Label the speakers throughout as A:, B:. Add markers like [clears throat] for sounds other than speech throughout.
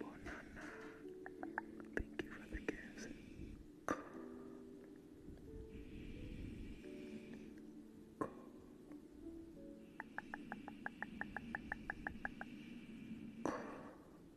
A: Bonana, thank you for the gifts.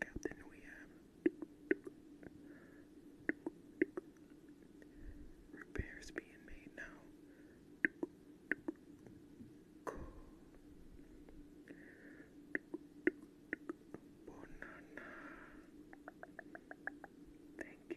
A: Captain, we have repairs being made now. Thank you.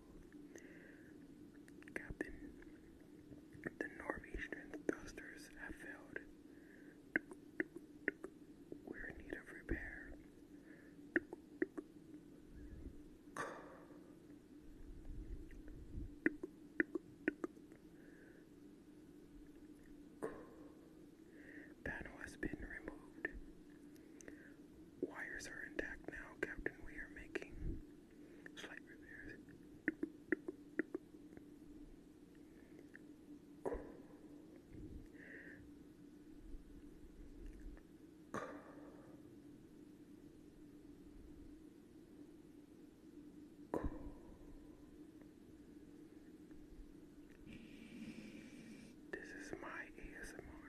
A: Captain, the Northeastern thrusters have failed. We're in need of repair. Panel has been removed. Wires are intact now, Captain. We are making slight repairs. This is my ASMR.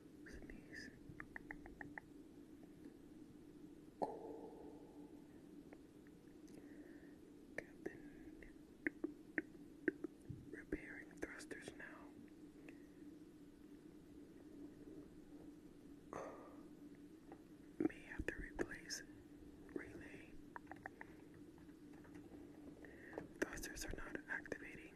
A: sneeze. Cool. Captain repairing thrusters now. may have to replace relay. Thrusters are not activating.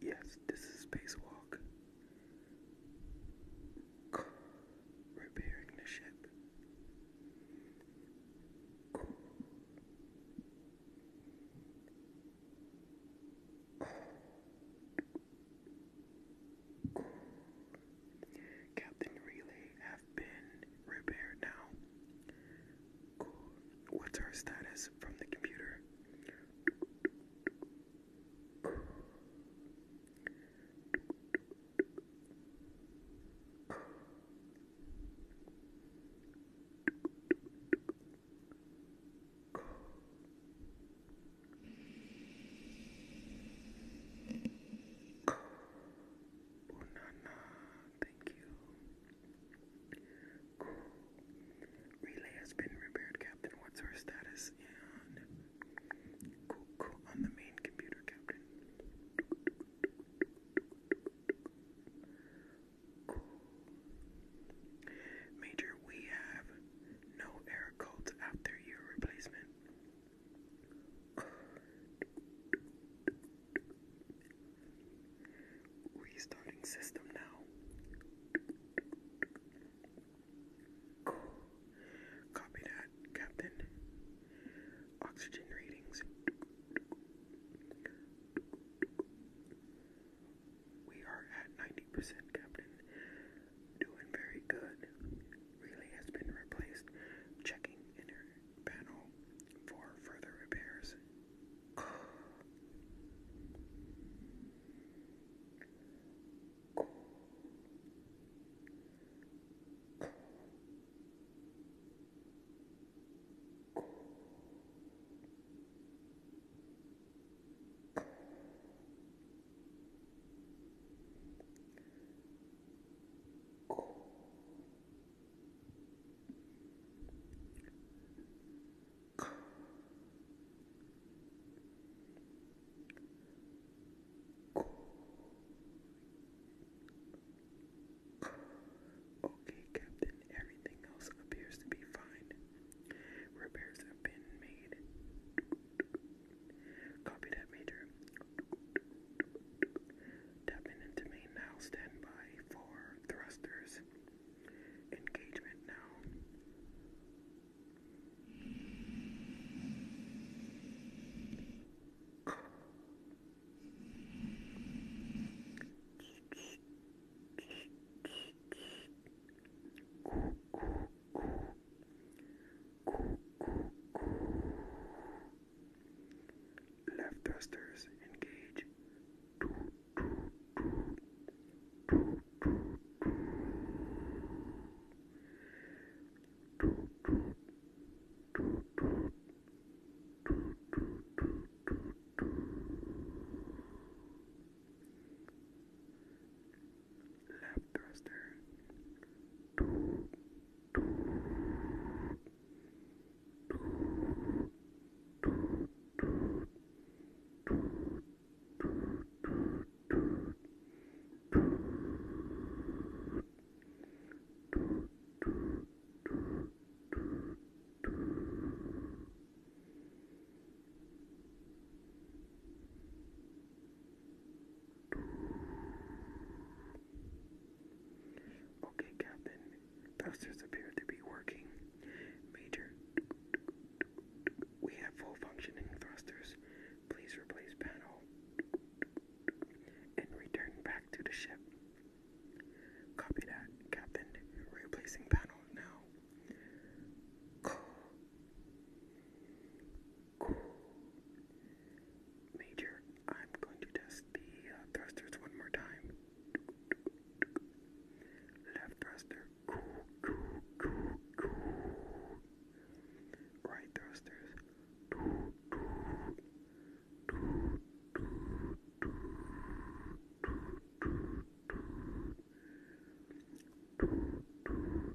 A: Yes, this is spacewalk. Repairing the ship. Captain Relay have been repaired now. What's our status from the computer? Unana, thank you. Cool. Relay has been repaired, Captain. What's our status? And cool, cool. On the main computer, Captain. Cool. Major, we have no air codes after your replacement. Restarting system now. Copy that, Captain. Oxygen readings. We are at 90%, Captain doing very good. Relay has been replaced. Checking inner panel for further repairs cool. Cool. Okay, Captain, everything else appears to be fine. Repairs have been made. Copy that, Major. Tapping into main now. Stand by for thrusters. Engagement now. Left thrusters engage lap thruster. Lap Okay, Captain. Thrusters appear to be working. Major, we have full functioning thrusters. Please replace panel and return back to the ship. Copy that, Captain. Replacing panel now. Major, I'm going to test the uh, thrusters one more time. Left thruster. Cool, cool, cool, cool. Right thrusters. Cool, cool. Cool, cool, cool, cool, cool. Cool,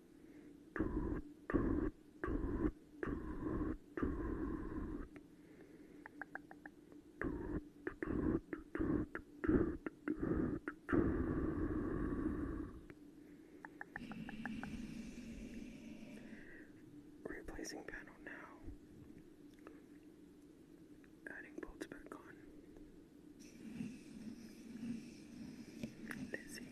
B: Replacing panel now. Adding bolts back on. Lizzie.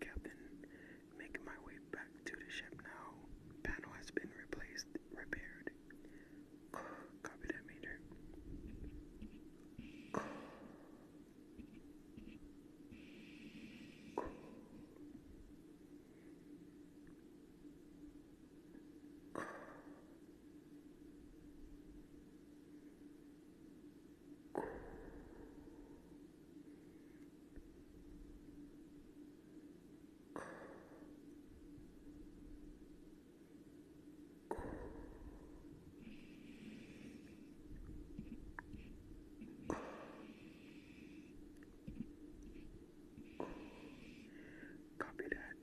A: Captain Making my way back to the ship now. Panel has been replaced, repaired. [sighs] Copy that meter. [sighs] [sighs] Copy that.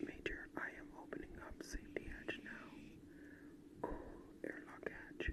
A: Major, I am opening up safety hatch now. Airlock hatch.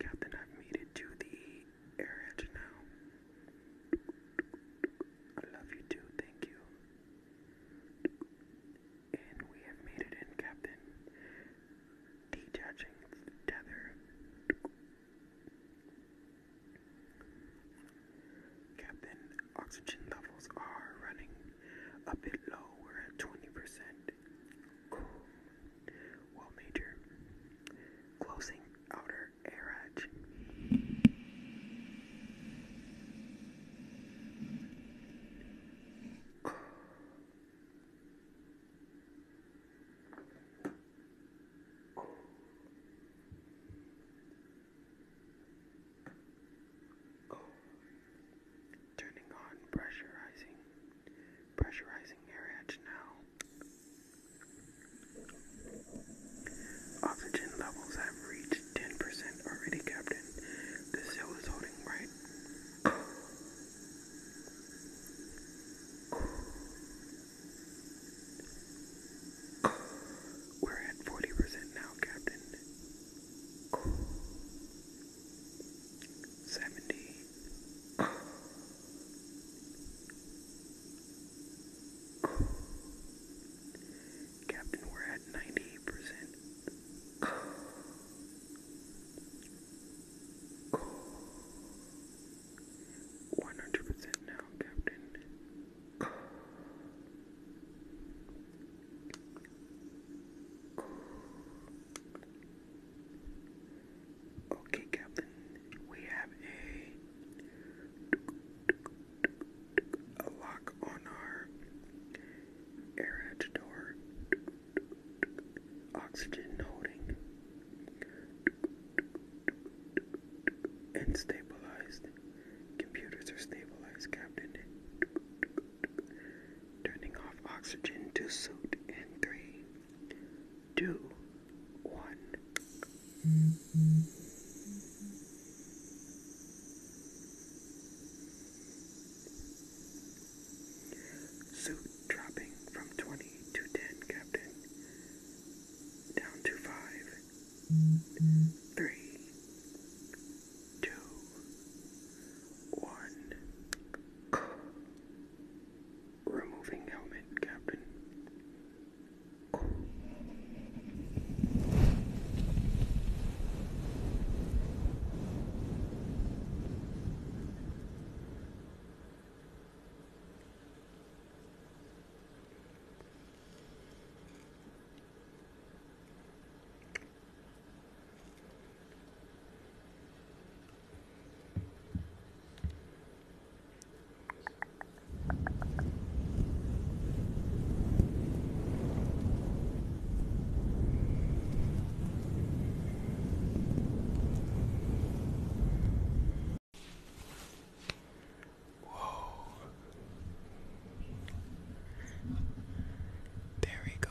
A: Captain, I've made it to the air edge now. I love you too, thank you. And we have made it in, Captain. Detaching the tether. Captain, oxygen levels are running a bit low. We're at 20% cool. Well, major. Closing outer air edge turning on pressurizing pressurizing air at now. Oxygen levels have reached 10% already, Captain. The seal is holding right. We're at 40% now, Captain seventy. Captain, we're at ninety-eight percent. One hundred percent now, Captain. Okay, Captain, we have a, a lock on our airhatch door. Oxygen holding and stabilized. Computers are stabilized, Captain turning off oxygen to suit in three, two, one. Suit dropping from 20 to 10, Captain. Down to 5.
B: 3, two, one. Removing helmet, Captain.
A: Whoa. There we go.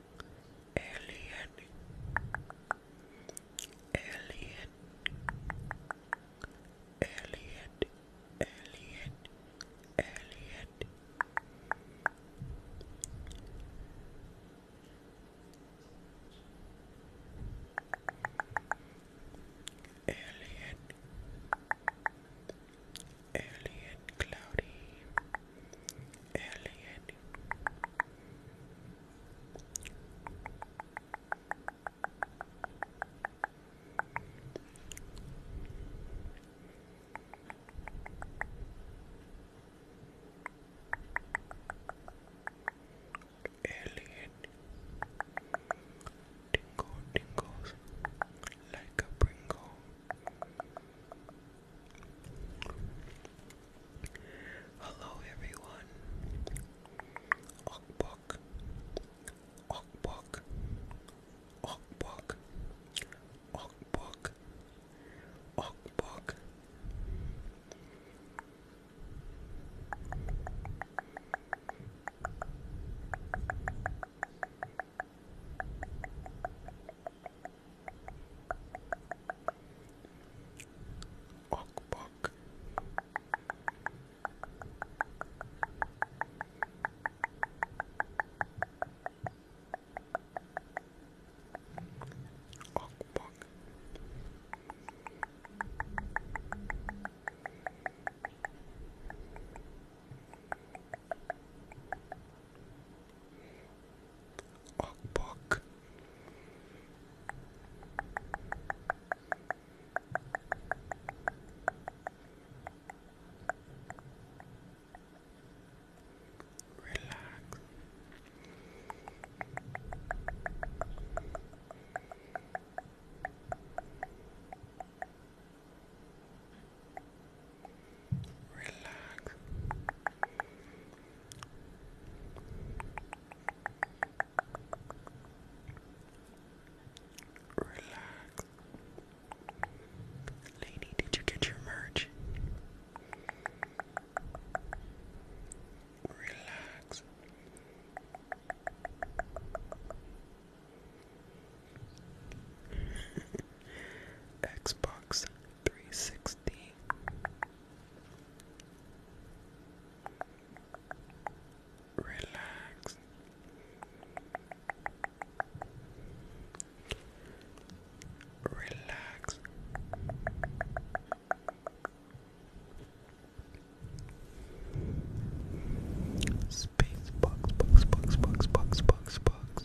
A: Alien Alien Alien Alien Alien Alien Alien Cloudy Alien Alien Tingle tingles like a Pringle. Hello everyone. Okbok. Okbok. Okbok. Okbok. Okbok. Walk, walk. Walk, walk. Okbok. Relax relax. Relax. Lady, did you get your merch? Relax. Xbox 360. Relax. Relax. Space box, box, box, box, box, box, box.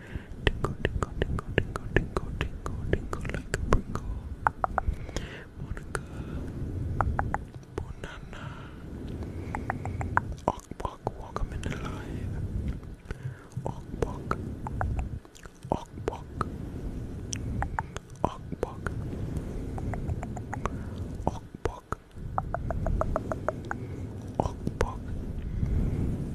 A: Tinkle, tinkle, tinkle, tinkle, tinkle, tinkle, tinkle like a prinkle. Monica, Bonana, Ock, walk, walk, I'm in the light. Ock, walk, Ock, walk, Ock, walk, Ock, walk, Ock, walk. Ock,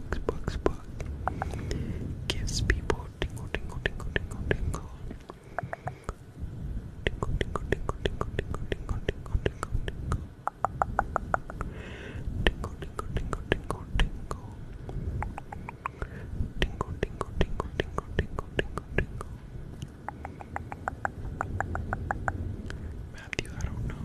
A: bugs, bugs, bugs. Gives people tingle, tingle, tingle, tingle, tingle. Tingle, tingle, tingle, tingle, tingle, tingle, tingle, tingle, tingle. Tingle, tingle, tingle, tingle, tingle. Tingle, tingle, tingle, tingle, tingle, tingle, tingle. Matthew, I don't know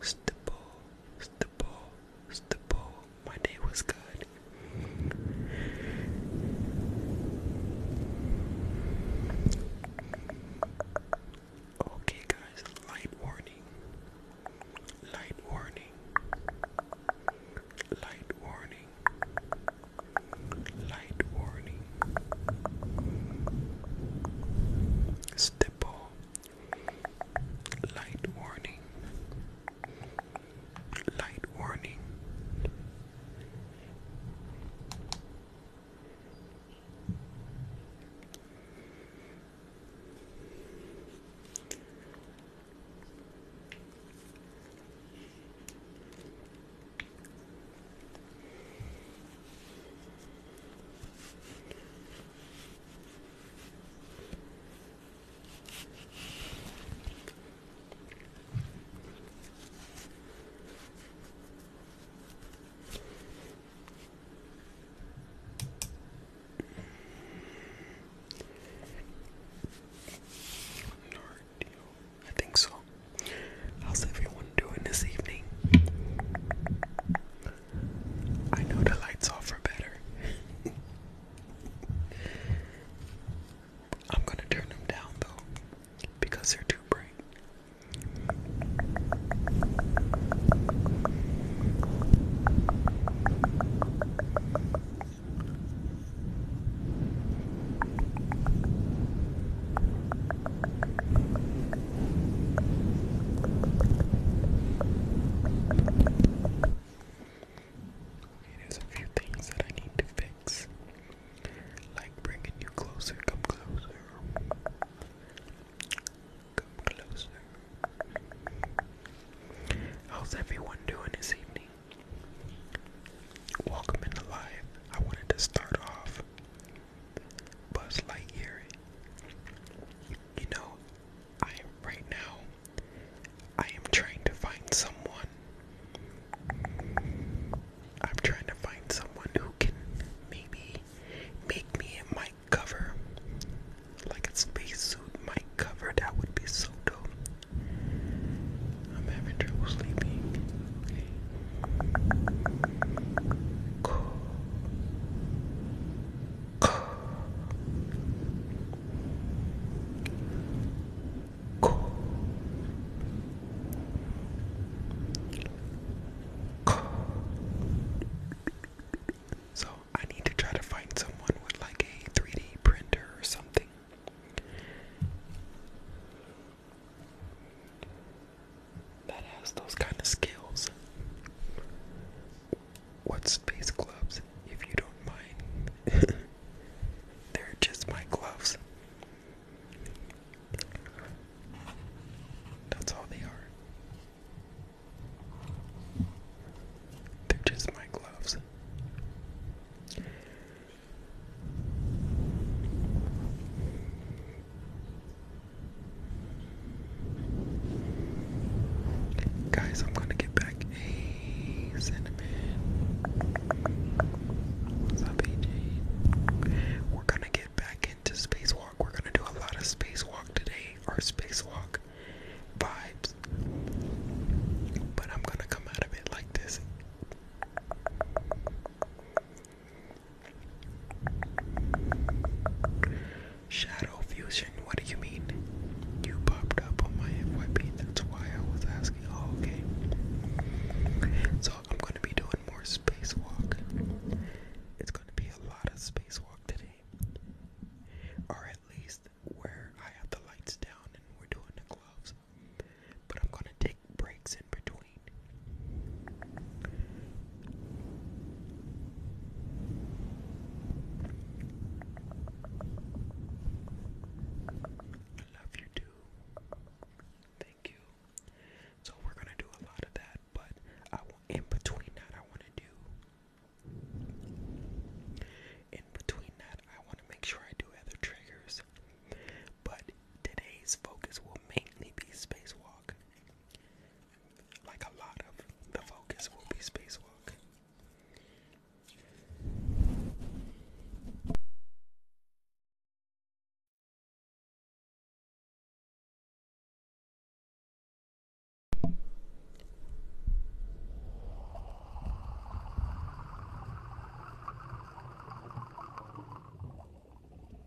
A: Stipple, stipple, stipple. My day was good. Okay, guys, light warning.
B: Light warning. Light warning. Light warning. Stipple. Light warning. Light warning. I think so. How's everyone doing this evening? I know the lights off are better. [laughs] I'm gonna turn them down though, because they're too bright. Okay, a few things that I need to fix.
A: Like bringing you closer, come closer. Come closer. How's everyone doing this evening? Welcome in the live. I wanted to start off Buzz Lightyear. You know, I am right now. I am trying to find someone. I'm trying to find someone who can maybe make me a mic cover, like a spacesuit mic cover. That would be so dope. I'm having trouble sleeping. So I need to try to find someone with like a 3D printer or something
B: that has those kind of skills. What space gloves, if you don't mind? [laughs] They're just my gloves.
A: That's all they are. They're just my gloves. Guys, I'm gonna get back a cinnamon. What's up, AJ? We're gonna get back into spacewalk. We're gonna do a lot of spacewalk today, or spacewalk vibes. But I'm gonna come out of it like this. Shadow fusion, what do you mean? You popped up on my FYP, that's why I was asking. Oh, okay. So I'm gonna be doing more spacewalk. It's gonna be a lot of spacewalk today. Or at least where I have the lights down and we're doing the gloves. But I'm gonna take breaks in between. Love you too. Thank you. So we're gonna do a lot of that, but in between that I want to do. In between that I want to make sure I do other triggers, but today's focus will mainly be spacewalk like a lot of the focus will be spacewalk.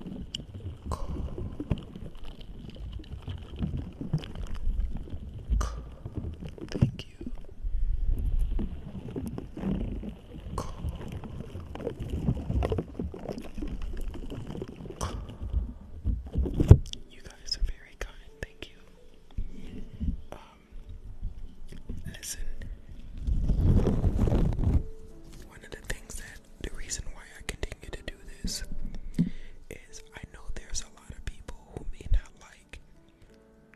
A: Thank you. You guys are very kind. Thank you. Um, listen. One of the things that the reason why I continue to do this is I know there's a lot of people who may not like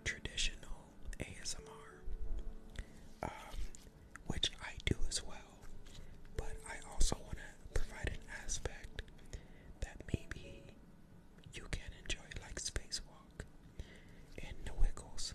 A: traditional ASMR, um, which I do as well, but I also want to provide an aspect that maybe you can enjoy, like Spacewalk and The Wiggles.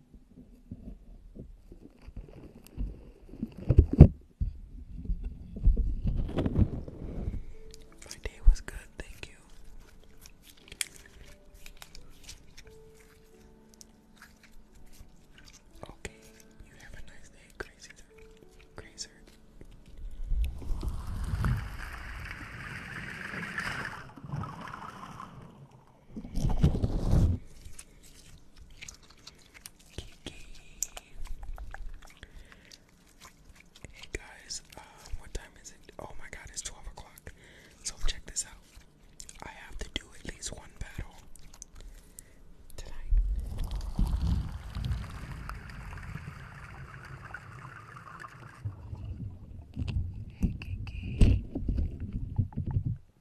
A: My day was good, thank you. Okay, you have a nice day, crazy crazer. Hey guys, um, what time is it? Oh my god, it's 12 o'clock. So check this out. I have to do at least one battle tonight. Hey Kiki.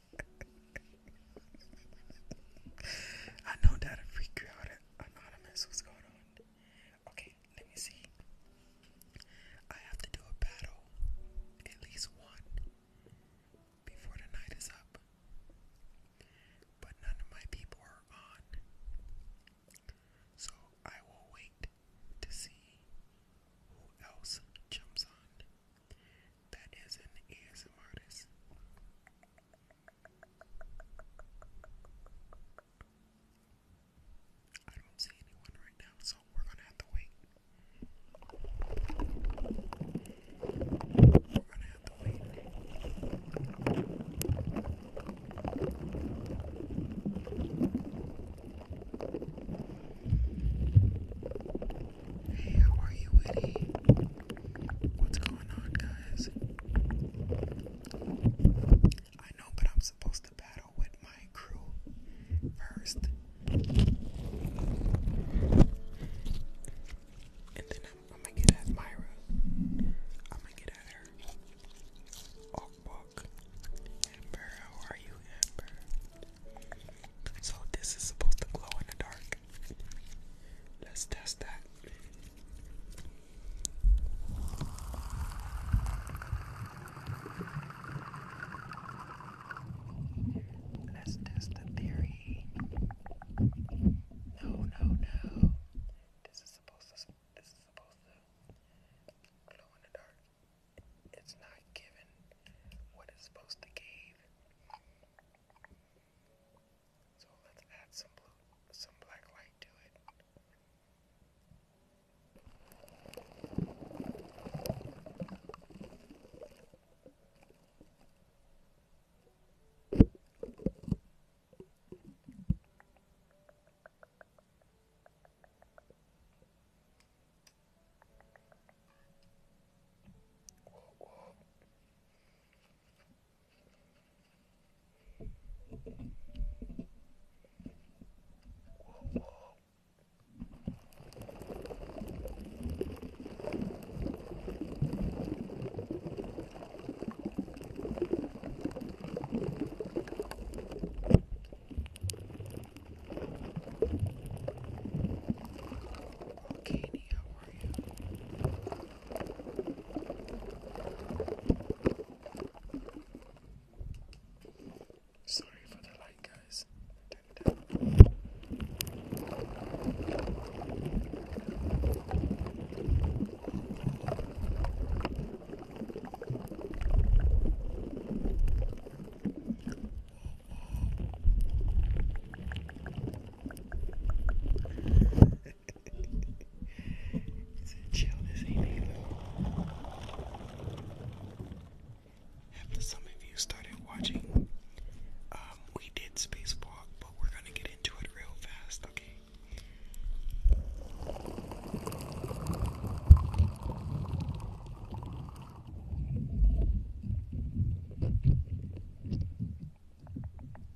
A: [laughs] I know that'll freak you out. Anonymous, what's going on? Okay, let me see. I have to do a battle, at least one, before the night is up. But none of my people are on. So I will wait to see who else jumps on. That is an ASMRtist. I don't see anyone right now, so we're gonna have to wait. We're gonna have to wait. Hey, how are you, Winnie? What's going on, guys? I know, but I'm supposed to battle with my crew first. And then I'm, gonna get at Myra. I'm gonna get at her. Walk, Amber, how are you, Amber? So, this is supposed to glow in the dark. Let's test that. Let's test the theory. No, no, no. This is supposed to. This is supposed to glow in the dark. It's not giving what it's supposed to give. So let's add some blue, some black light to it. Whoa, whoa. Katie, how are you? Sorry for the light, guys. Turn it down. Whoa, whoa it's a chill, this evening though. After some of you started watching, um, we did Spacewalk, but we're gonna get into it real fast, okay?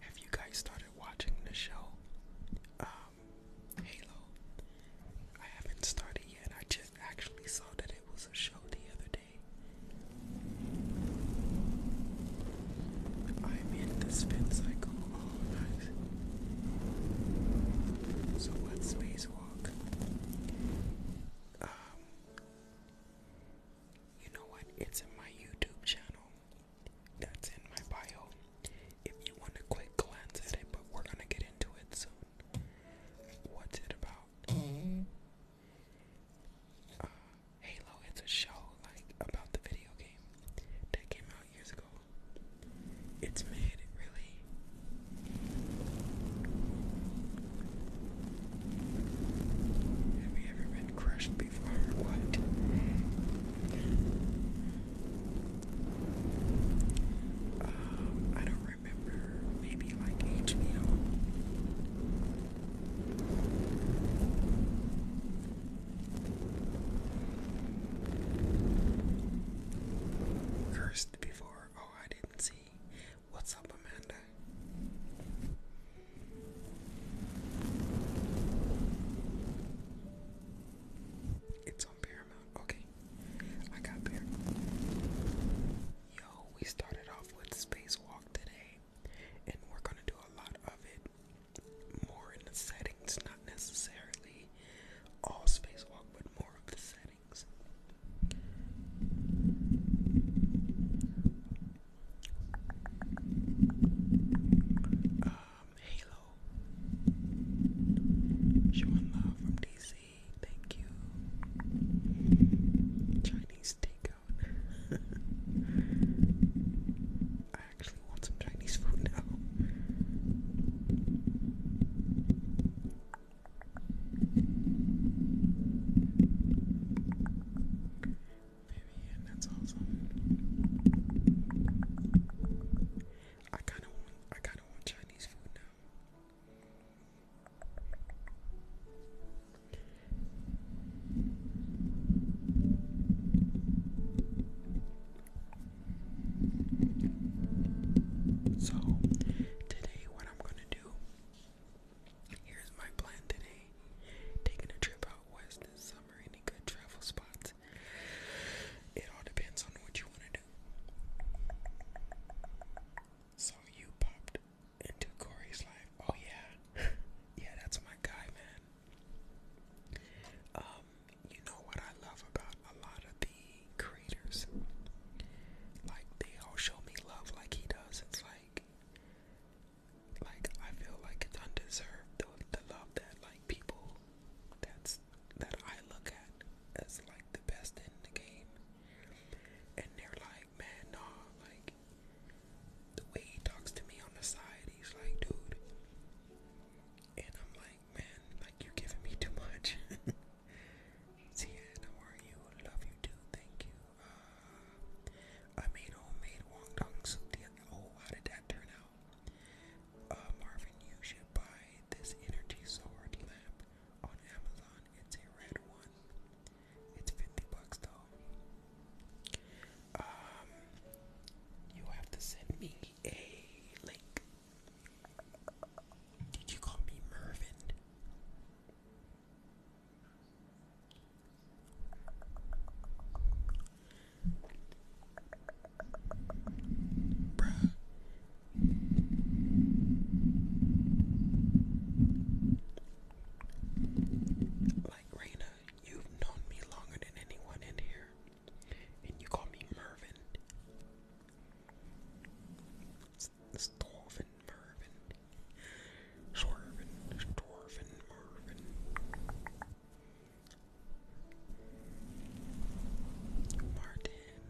A: Have you guys started watching the show? Um, Halo. I haven't started yet. I just actually saw that it was a show the other day. I'm in the spin cycle. Oh, nice. So what's spacewalk? you know what? It's in my YouTube channel. That's in my bio. If you want a quick glance at it, but we're gonna get into it soon. What's it about? Uh, Halo. It's a show like about the video game that came out years ago. It's made really have you ever been crushed before or what? Um, I don't remember. Maybe like HBO. Cursed before. Oh, I didn't see. What's up, Amanda? It's on Paramount. Okay. I got there. Yo, we started off with Spacewalk today, and we're gonna do a lot of it more in the settings, not necessarily all Spacewalk, but more of the settings settings. Um, Showing love from DC. Thank you. Chinese takeout. [laughs] I actually want some Chinese food now. Man, that's awesome. I kinda I kinda want Chinese food now. So, today, what I'm gonna do Here's my plan today. Taking a trip out west this summer, any good travel spots? It all depends on what you want to do. So you popped into Corey's life. Oh yeah. [laughs] yeah, that's my guy, man. Um, you know what I love about a lot of the creators. Like they all show me love like he does. It's like like I feel like it's undeserved the, the love that like people that's that I look at as like the best in the game. And they're like, man, nah, like the way he talks to me on the side, he's like, dude. And I'm like, man, like you giving me too much. [laughs] Tiana, how are you? Love you too. Thank you. Uh, I made homemade wong soup. oh, how did that turn out? Uh, Marvin, you should buy this energy sword lamp on Amazon. It's a red one. It's fifty bucks though. Um, you have to send me a link. Did you call me Mervin? Bruh. Like Raina, you've known me longer than anyone in here, and you call me Mervin. Storvin Mervin. Swervin, Storvin Mervin. Martin.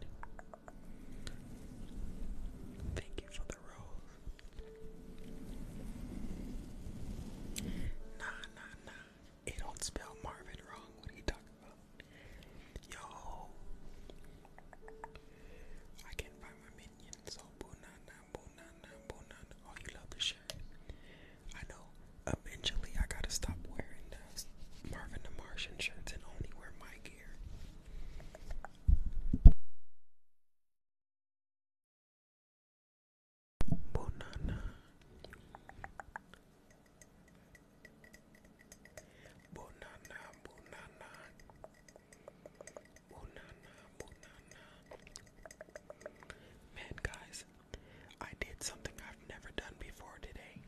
A: Thank you for the rose. Nah, nah, nah. It don't spell Marvin wrong. What are you talking about? Yo, I can't find my minions. Oh, oh you love the shirt. I know. Eventually, I gotta stop wearing the
B: Marvin the Martian shirts and only wear my gear. Bonana.
A: Bonana, bonana. Man, guys, I did something I've never done before today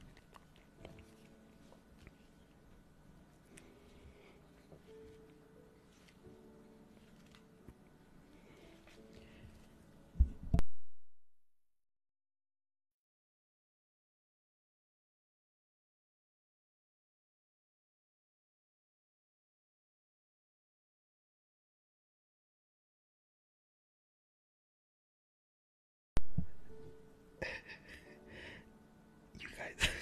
B: you guys. [laughs]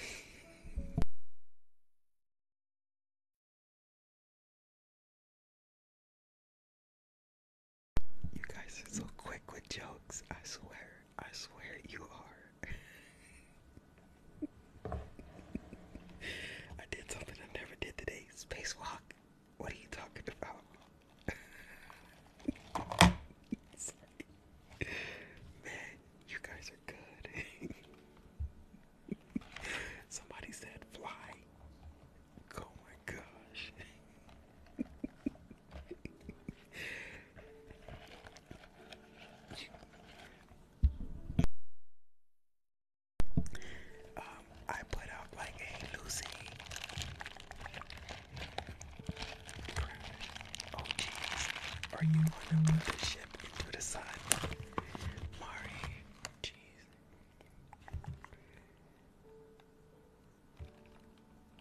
B: you guys are so quick with jokes, I swear. I swear you
A: are. I did something I never did today. Spacewalk. What are you talking about? Man, you guys are good. Somebody said fly. Oh my gosh.
B: Um, I put out like a Lucy Oh jeez, are you gonna put the ship into the side, Mari, jeez.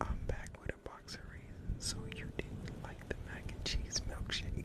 A: I'm back with a box of reasons. So you didn't like the mac and cheese milkshake.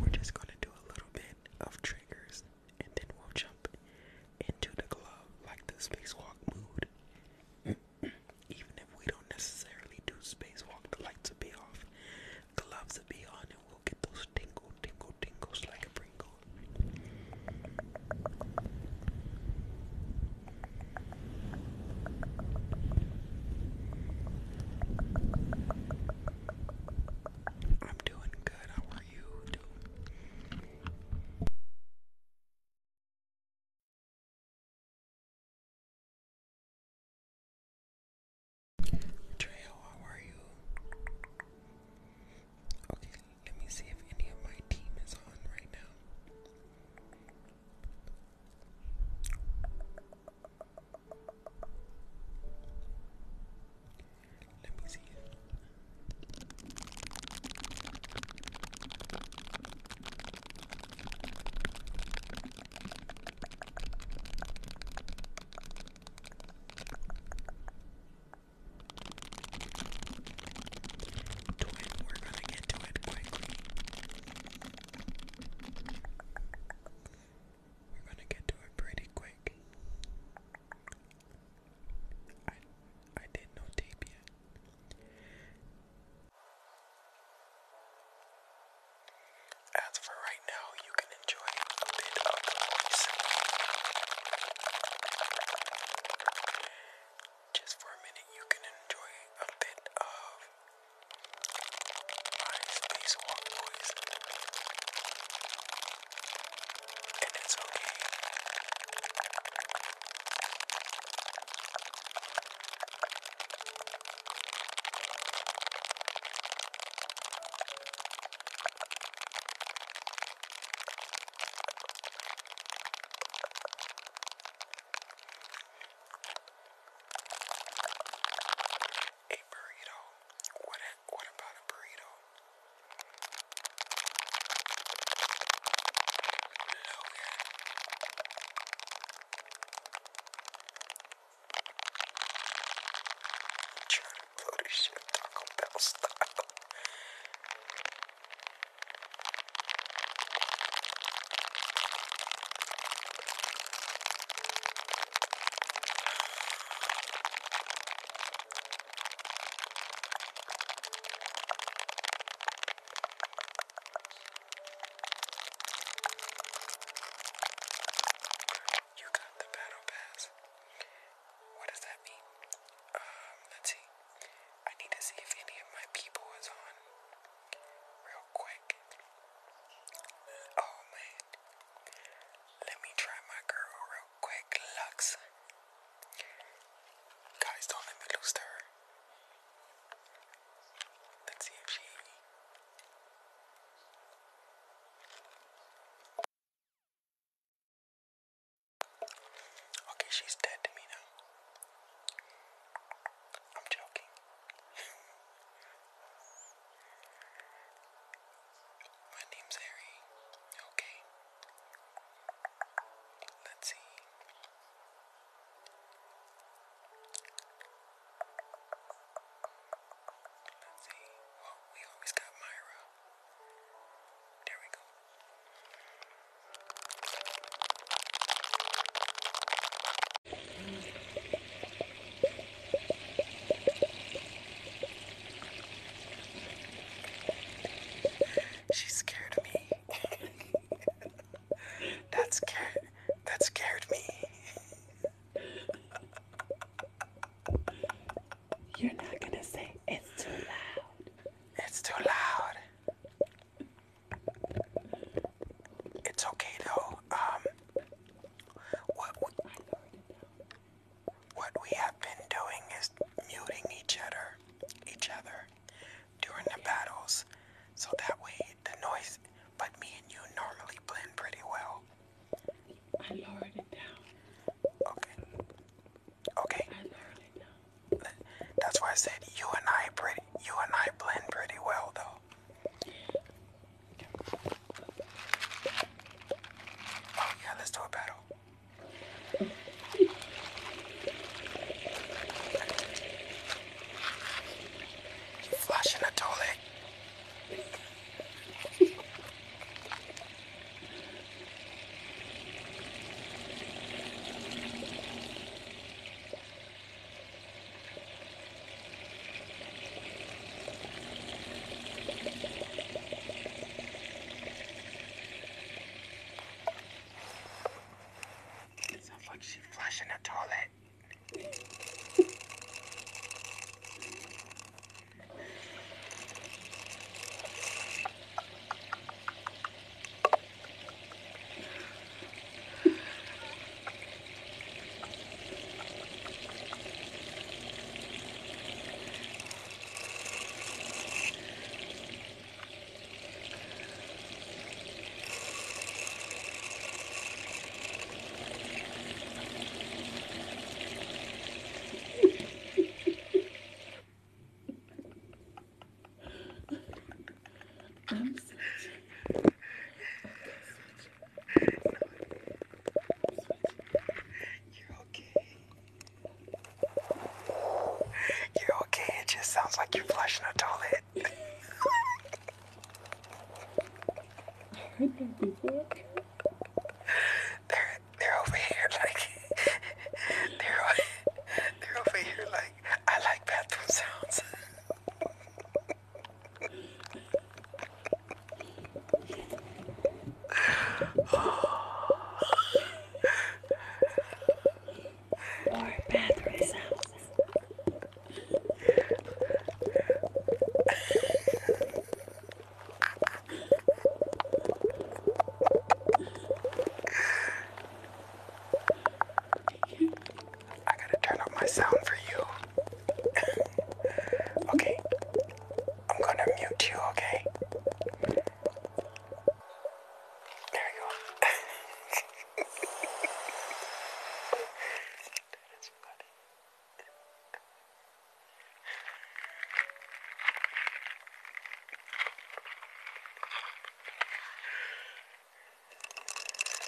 A: We're just gonna do a little bit of triggers and then we'll jump into the club like the spacewalk mood. [clears throat] Even if we don't necessarily do spacewalk, the lights will be off, the gloves will be on, and we'll get those tingle, tingle, tingles like a Pringle. I'm doing good. How are you Trey, how are you? Okay, let me see if any of my team is on right now. Let me see it. Do it, we're gonna get to it quickly. We're gonna get to it pretty quick.
B: I I did no tape yet. As for right now, you can enjoy a bit of the voice. Just for a minute, you can enjoy a bit of Alright, spacewalk boys. And it's okay. A burrito. What? A, what about a burrito? Logan. I'm trying to blow this shit Taco Bell style. You got
A: the battle pass. What does that mean? Um, let's see. I need to see if any of my people is on real quick. Oh man. Let me try my girl real quick. Lux. Guys, don't let me lose her. Let's see if she. Okay, she's dead to me now. I'm joking. My name's Harry. Okay. Let's see. Let's see. Well, we always got Myra. There we go. She scared me. [laughs] that scared that scared me. You're not gonna say it's too loud. It's too loud. It's okay though. Um what, we have been doing is muting each other, each other during the battles, so that way the noise. But me and you normally blend pretty well. I lowered it down. Okay. Okay. That's why I said you and I pretty. You and I blend pretty well, though. Oh yeah, let's do a battle. You flushing the toilet. It sounds like she's flushing the toilet. I'm switching. Okay, switching. You're okay. You're okay. It just sounds like you're flushing a toilet. They're they're over here like they're they're over here like I like bathroom sounds. More bathroom sounds. I gotta turn up my sound for you. [laughs] okay, I'm gonna mute you, okay? There you go. That's [laughs] funny. [laughs]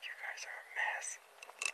B: You guys are a mess.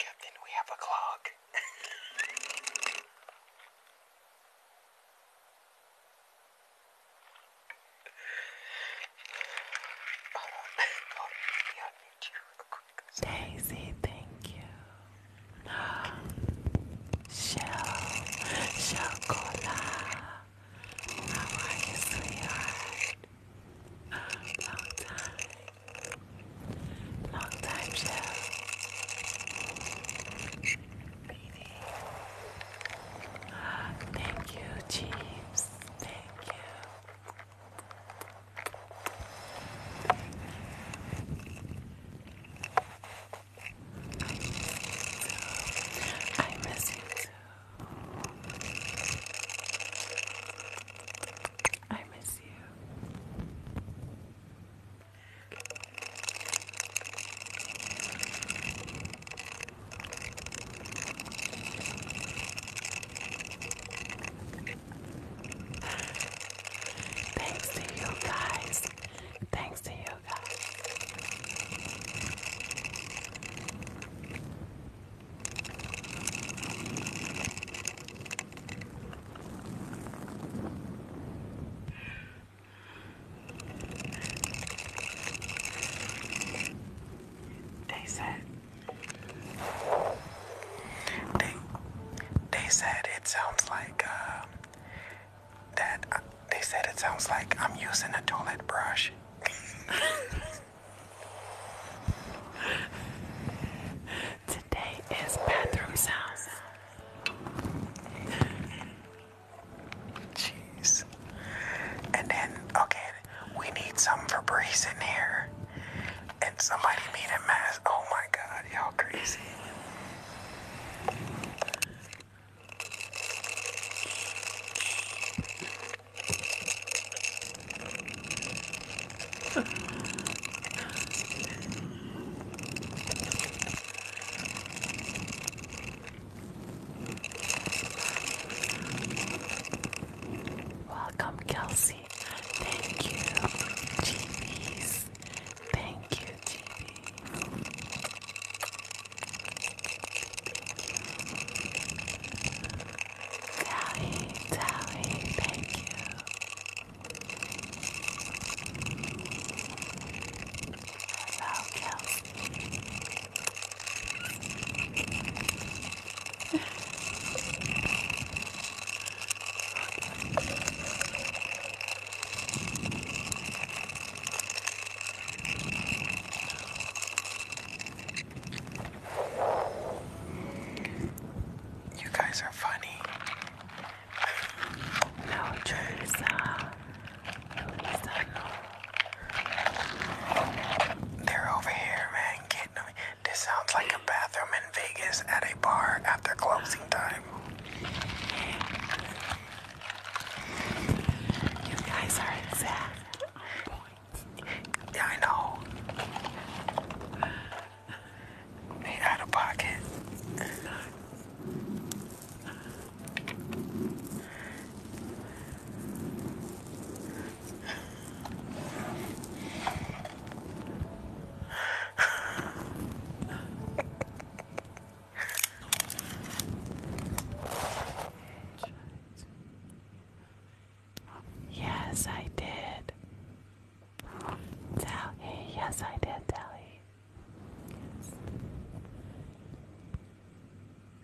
A: Captain, we have a clog. [laughs] Daisy, thank you. Shell, Shell Cola. How are you, sweetheart? Long time. Long time, Shell. Thank you, Jeeves. Thank you. I miss you I miss you. Thanks to you guys. Thanks to you guys. They said they they said it sounds like um, that. Uh, they said it sounds like I'm using a toilet brush. [laughs] Today is bathroom sounds. Jeez. And then, okay, we need some Febreze in here. And somebody need a mask. Oh my god, y'all crazy. Welcome, Kelsey. Thank you, TVs. Thank you, TV. Tally, Tally, thank you. Hello, you guys are funny. No, Teresa. They're over here, man, getting them. This sounds like a bathroom in Vegas at a bar after closing time. You guys are exact.
B: I know. They out of pocket.
A: Yes, I did. Tally, yes, I did, Tally. Yes.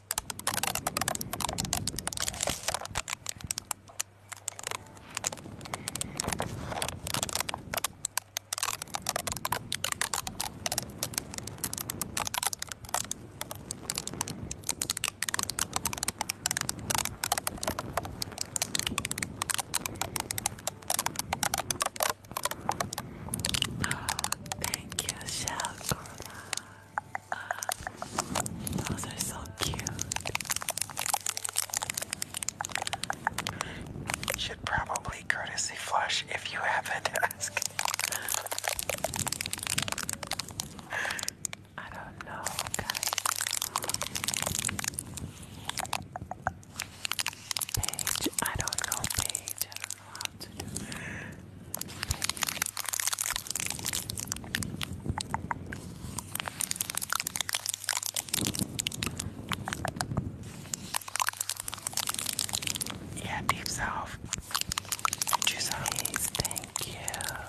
A: Oh, thank you, Shell uh, those are so cute. Should probably courtesy flush if you haven't [laughs] asked. I don't know, guys. Page, I don't know, Page. Yeah, deep self. Please, thank you.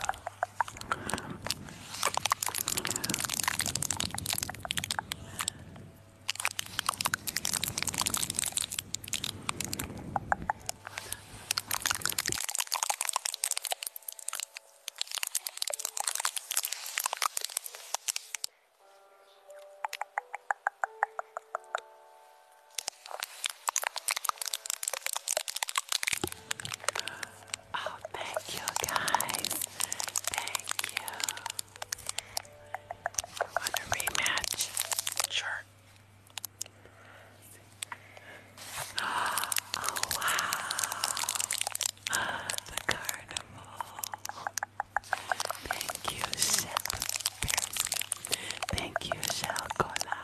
A: Oh, thank you guys. Thank you. On the rematch, sure. Oh wow! The carnival. Thank you, Sep Thank you, Shalcola.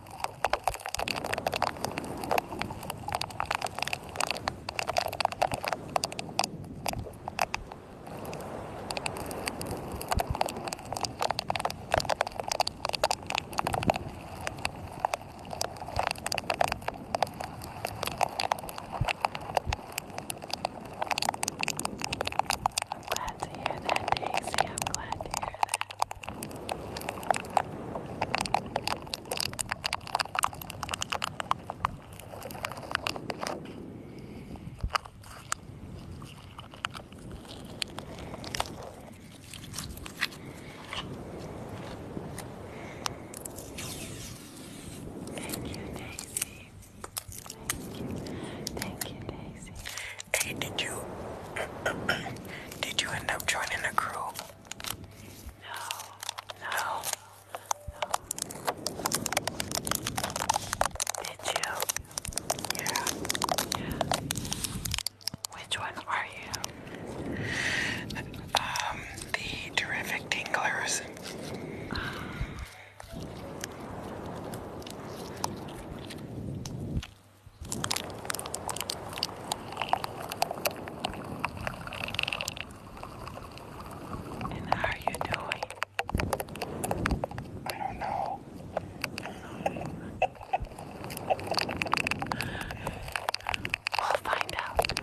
A: I'm glad to hear that, Daisy. I'm glad to hear that. Thank you, Daisy. Thank you. Thank you, Daisy. Hey, did you [clears throat] did you end up joining a group? No. No. No. Did you? Yeah. Which one are you? Um, the terrific tinglers. And how are you doing? I don't know. we'll find out.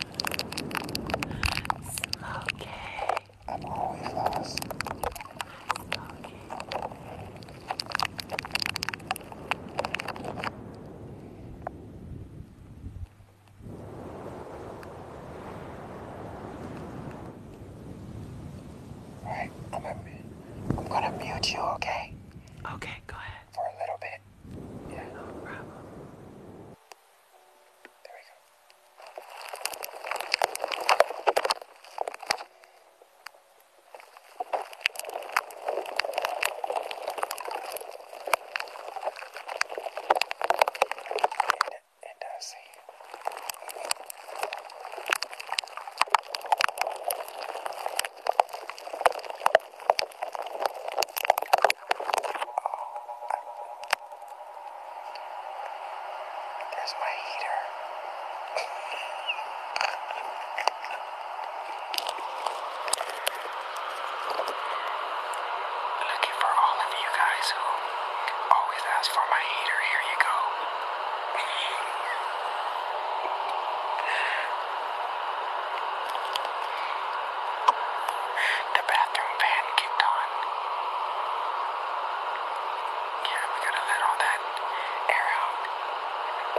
A: Smokey. I'm always lost. Smokey. All right, I'm mute you, okay? Okay, go ahead. For a little bit. Yeah. No problem. There we go and I see There's my heater. [laughs] Looking for all of you guys who always ask for my heater. Here you go. the bathroom fan kicked on. Yeah, we gotta let all that air out.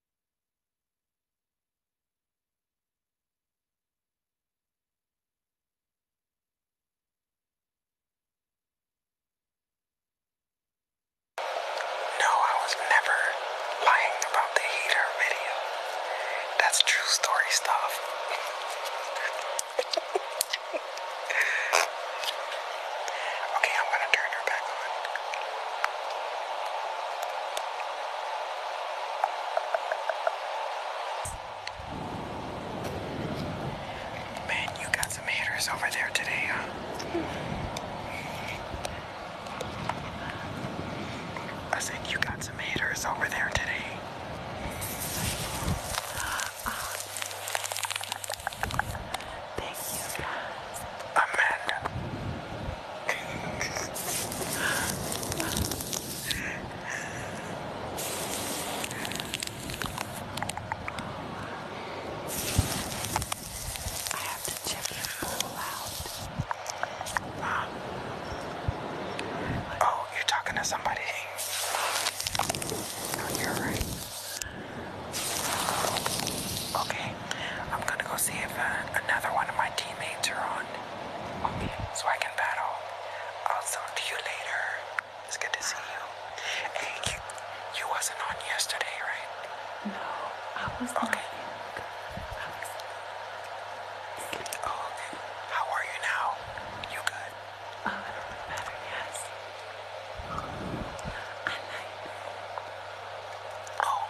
A: No, I was never lying about the hater video. That's true story stuff.
B: [laughs] okay, I'm gonna turn her back on.
A: Man, you got some haters over there today, huh? I said you got some haters over there today. Thank you guys. Amanda. I have to check your pool out. Mom. Oh, you're talking to somebody. No, you're right. Okay, I'm gonna go see if uh, another one of my teammates are on. so I can battle. I'll talk to you later. It's good to see you. Hey, you, wasn't on yesterday, right? No,
B: I was on. Okay. How are you now? You good? I'm uh, better, yes. I like. Oh,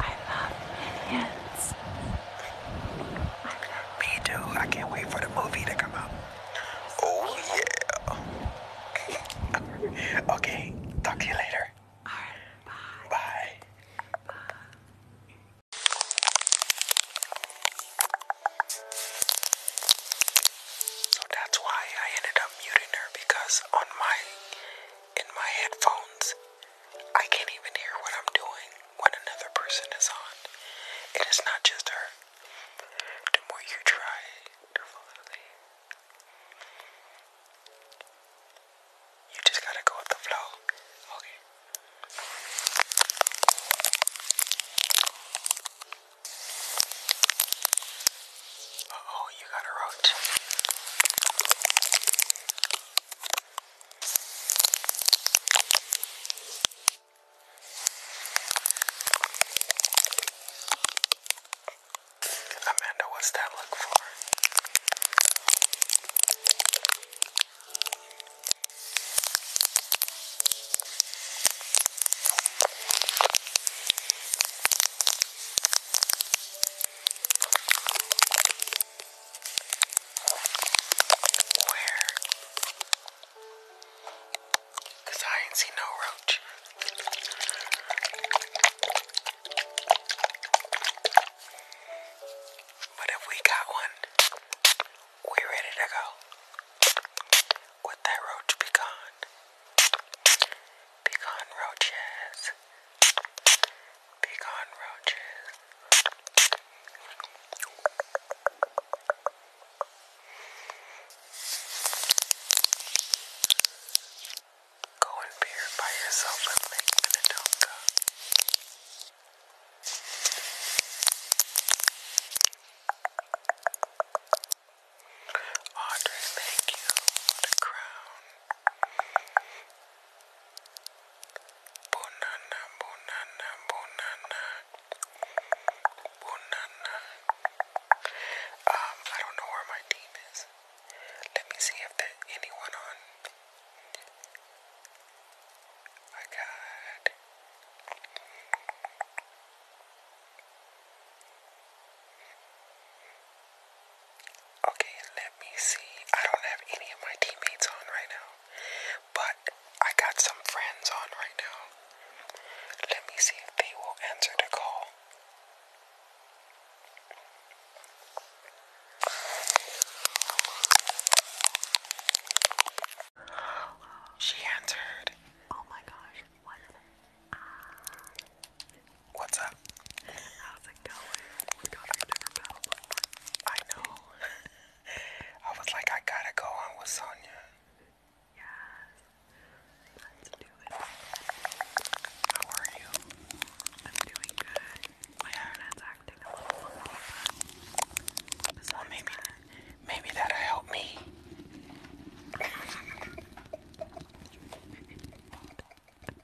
A: I love Minions. Me too. I can't wait for the movie to come out. Oh yeah. [laughs] okay. Talk to you later. Bye. Bye. bye. So that's why I ended up muting her because on my in my headphones. I can't even hear what I'm doing when another person is on. It is not just her. The more you try you just gotta go with the flow. Okay. Uh oh, you got a roach. Amanda, what's that look for? Where? I ain't see no roach. But if we got one, we ready to go. Would that roach be gone? Be gone, roaches. Be gone, roaches. Go and purify yourself with Lake Minnetonka. Audrey, thank you the crown. Banana, banana, banana, banana. Um, I don't know where my team is. Let me see if there's anyone on. I got. Okay, let me see. I don't have any of my teammates on right now, but I got some friends on right now. Let me see if they will answer the call. She answered. Oh my gosh, what? What's up? How's it going? I know. [laughs] I was like, I gotta go on with Sonya. Yes. How are you? I'm doing good. My internet's acting a little funny, but well, maybe that'll help me. [laughs] [laughs]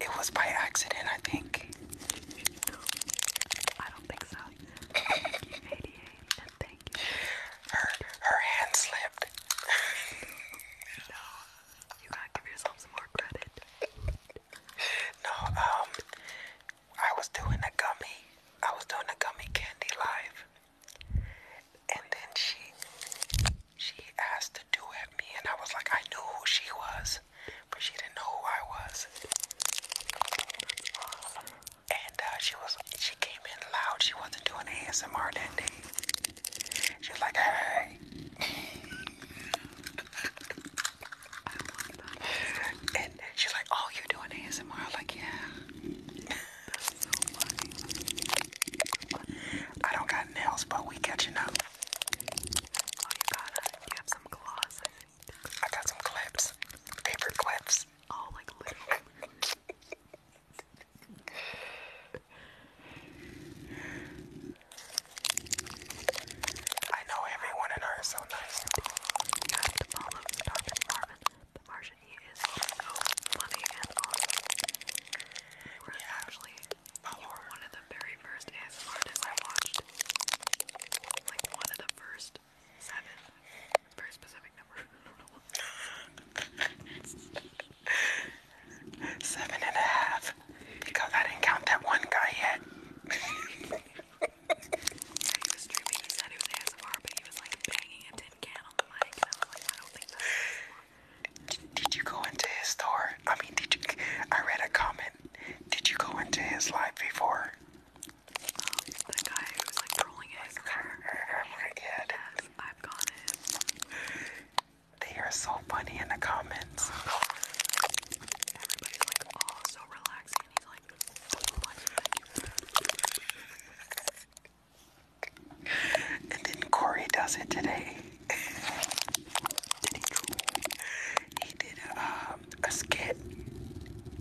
A: It was by accident, I think. I don't think so. [laughs] Her her hand slipped. no, you gotta give yourself some more credit. no, um, I was doing a gummy. I was doing a gummy candy live, and then she she asked to do at me, and I was like, I knew who she was, but she didn't know who I was. And uh, she was, she came in loud. She wasn't doing ASMR that day. She was like, hey. and she's like, oh, you're doing ASMR? I'm like, yeah. I don't got nails, but we catching up. Oh, I got some clips. Paper clips. Oh, like little. I know everyone in her is so nice. You have to follow Dr. Marvin. The Martian, he is so funny and awesome. We're actually you were one of the very first ASMR I watched. Like one of the first seven. very specific number. [laughs] seven and a half. Because I didn't count that one guy yet. did you go into his store? I mean, did you? I read a comment did you go into his life before? the guy who like trolling his [laughs] car. Oh yes, I've gone in. They are so funny in the comments. Everybody's like, oh, so relaxing. he's like, and then Corey does it today did he did um a skit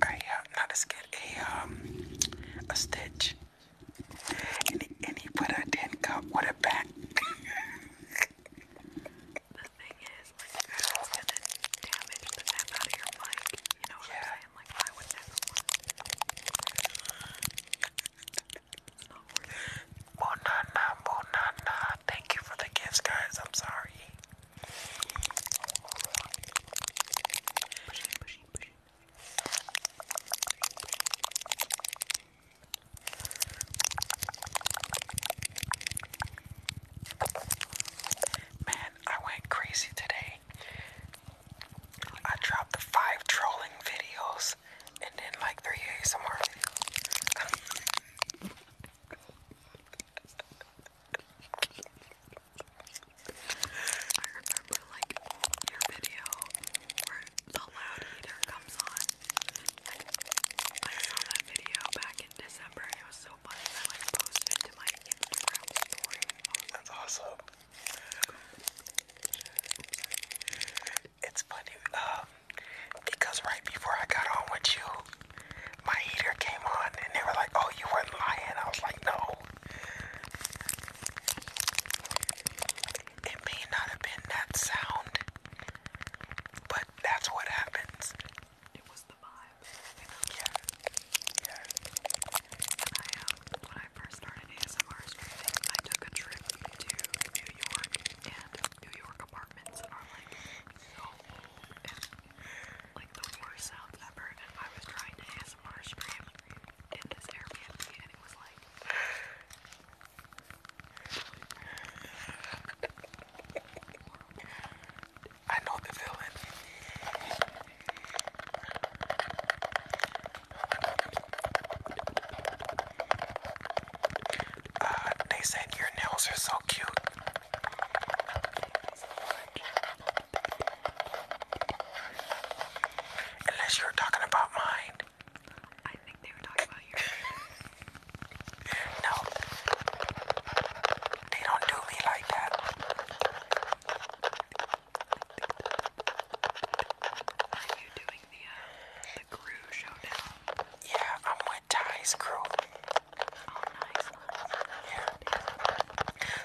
A: uh, a, not a skit a um a stitch and he, and he put a tin cup with a bat [laughs] the thing is like if it's gonna damage the nap of your mic you know yeah. like I would never Bonana, bonana, Thank you for the gifts, guys. I'm sorry. Man, I went crazy today. I dropped the five trolling videos and then like three ASMR
B: videos. [laughs] I remember like your video where the loud eater comes on.
A: I saw that video back in December and it was so funny. I like posted it to my Instagram story. that's awesome. It's funny, um, because right before I got on with you, my heater came on and they were like, oh, you weren't lying. I was like, no. It may not have been that sound, but that's what happens. It was the vibe. Yeah. Yeah. Um, when I first started ASMR I took a trip to New York, and New York apartments are like it's like the worst sound ever, and I was trying to ASMR stream in this Airbnb, and it was like. I know the feeling. Uh, they said your nails are so cute. Unless you were talking about mine. I think they were talking about yours. no. They don't do me like that. Are you doing the crew uh, showdown? Yeah, I'm my ties grew.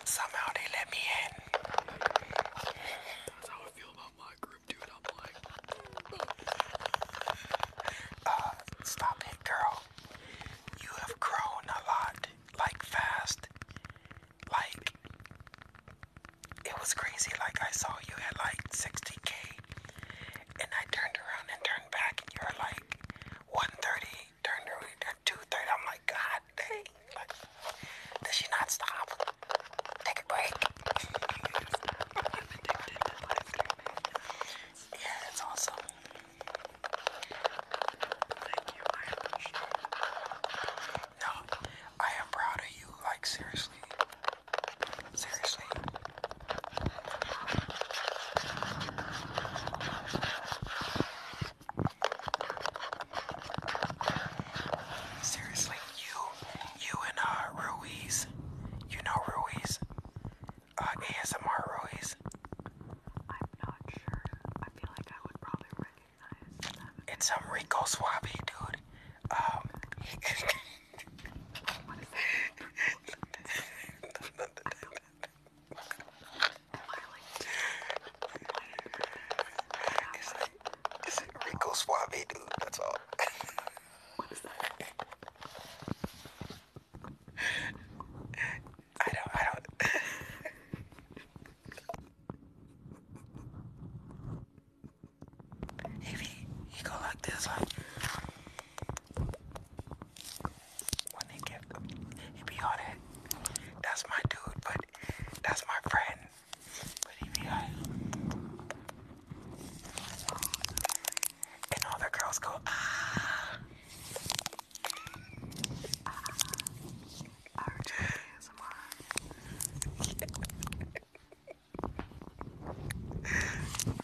A: Somehow they let me in. That's how I feel about my group, dude. I'm like, uh, stop it, girl. You have grown a lot, like fast. Like, it was crazy. Like, I saw you at like 60k, and I turned around and turned back, and you are like 130, turned around at 230. I'm like, God dang. Like, does she not stop? Take a break. yeah, it's awesome. No, I am proud of you. Like, seriously. Seriously. Seriously, you, you and uh, Ruiz, you know Ruiz, uh, ASMR Ruiz. I'm not sure. I feel like I would probably recognize. It's some Rico Suave, dude. Um. [laughs] It's like, Rico Suave, dude. That's all. what is that? I don't. I don't. if he, he go like this, like. When they get, he be all that. That's my dude, but that's my friend. And all the girls go, ah. ah. [laughs]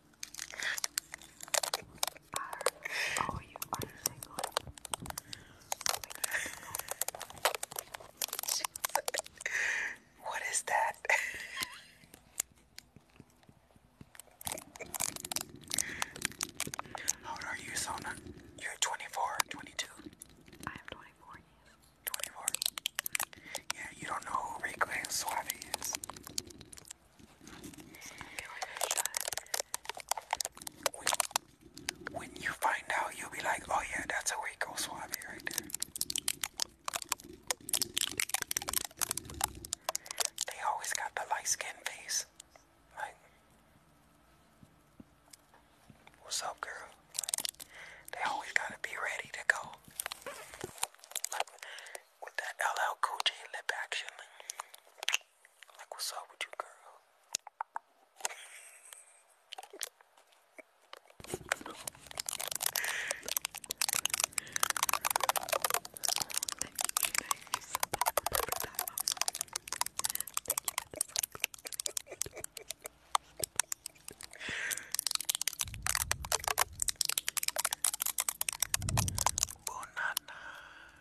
A: oh, you are single. what is that? [laughs] How old are you, Sona? You're 24, I am 24, 24. Yeah, you don't know who Rico is. When, you find out, you'll be like, oh yeah, that's a Rico Suave right there. They always got the light skin face. what's up, girl? they always gotta be ready to go. with that LL Cool J lip action. Like, what's up with you, girl? Bonana.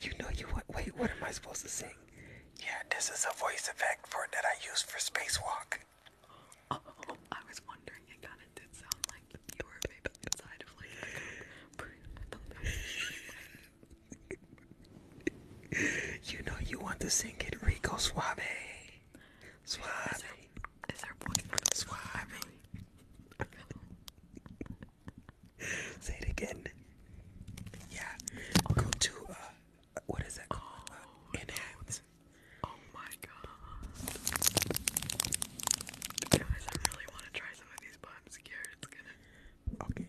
A: you know you what? Wait, what am I supposed to sing? Yeah, this is a voice effect for that I use for spacewalk. Oh, I was wondering. It kind did sound like you were maybe inside of like [laughs] you know you want to sing it, Rico Suave. Suave. Suave. Say it again. Yeah. Go to uh what is that called? Oh, oh, my god. Guys, I really want to try some of these, but I'm scared it's gonna. Okay.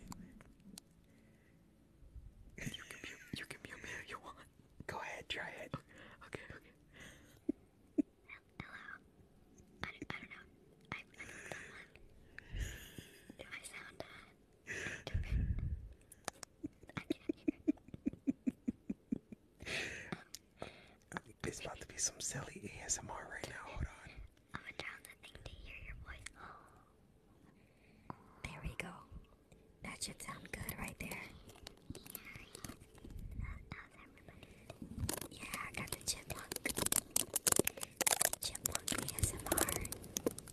A: You can mute, you can mute me you want. Go ahead, try it. Okay, okay. Hello. I don't, I don't know. I, don't know someone. Do I sound uh, it's about to be some silly ASMR right now. Hold on. I'm gonna to hear your voice.
B: There we go. That should sound good right there. Yeah, I got the chipmunk. Chipmunk ASMR.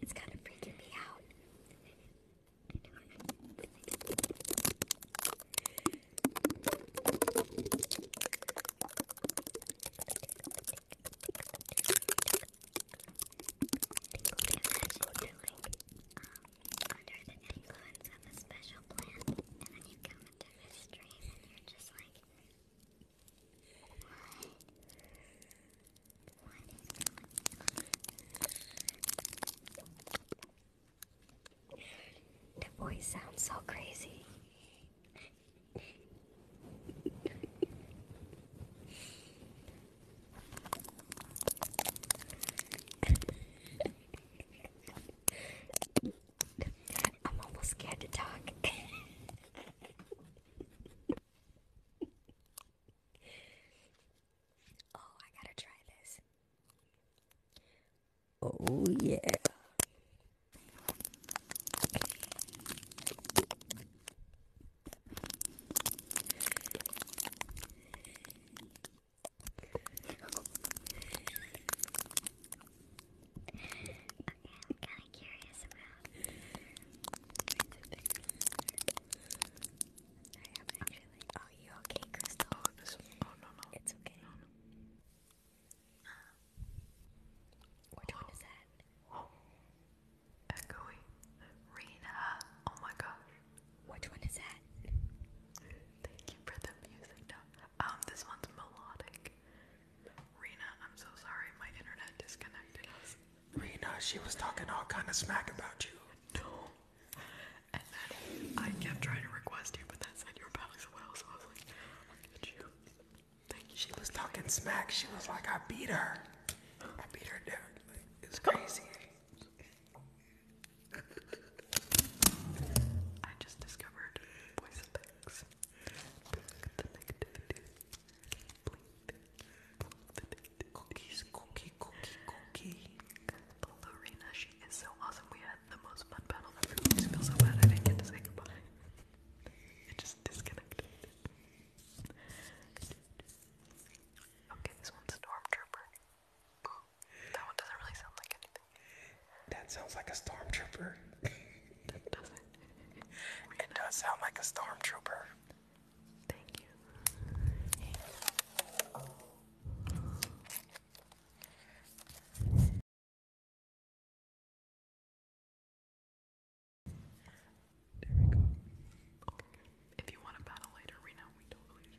B: it's kind of freaking me out. Um, under the influence of
A: a special plant, and then you come into this dream, and you're just like, the voice sounds so crazy.
B: I'm almost scared to talk. [laughs] oh, I gotta try this. Oh, yeah. I'm kind of curious about. I am actually. Are
A: you okay, Crystal? Oh, this, oh, no, no. It's okay. No, no. Um, which one is that? Oh. [gasps] Echoey. Rena. Oh my gosh. Which one is that? Thank you for the music, um, this one's melodic. Rena, I'm so sorry, my internet disconnected us. Rena, she was talking all kind of smack about you. No. And then I kept trying to request you, but that said you were back as so I was like, get you. She was talking smack. She was like, I beat her. I beat her down. it's crazy. I just discovered voice picks. Cookies, cookie, cookie, cookie. Lorena, she is so awesome. We had the most fun battle ever. I feel so bad I didn't get to say goodbye. It just disconnected. Okay, this one's Stormtrooper. That one doesn't really sound like anything. That sounds like a stormtrooper. [laughs] That doesn't. It does sound like a stormtrooper. Thank you. There we go. Oh, if you want to battle later, we know we totally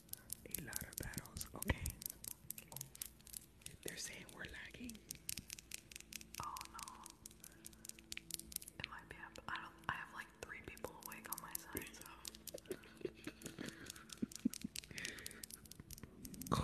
A: a lot of battles. Okay. They're saying we're lagging. Oh no. It might be up. I don't I have like three people awake on my side, so [laughs]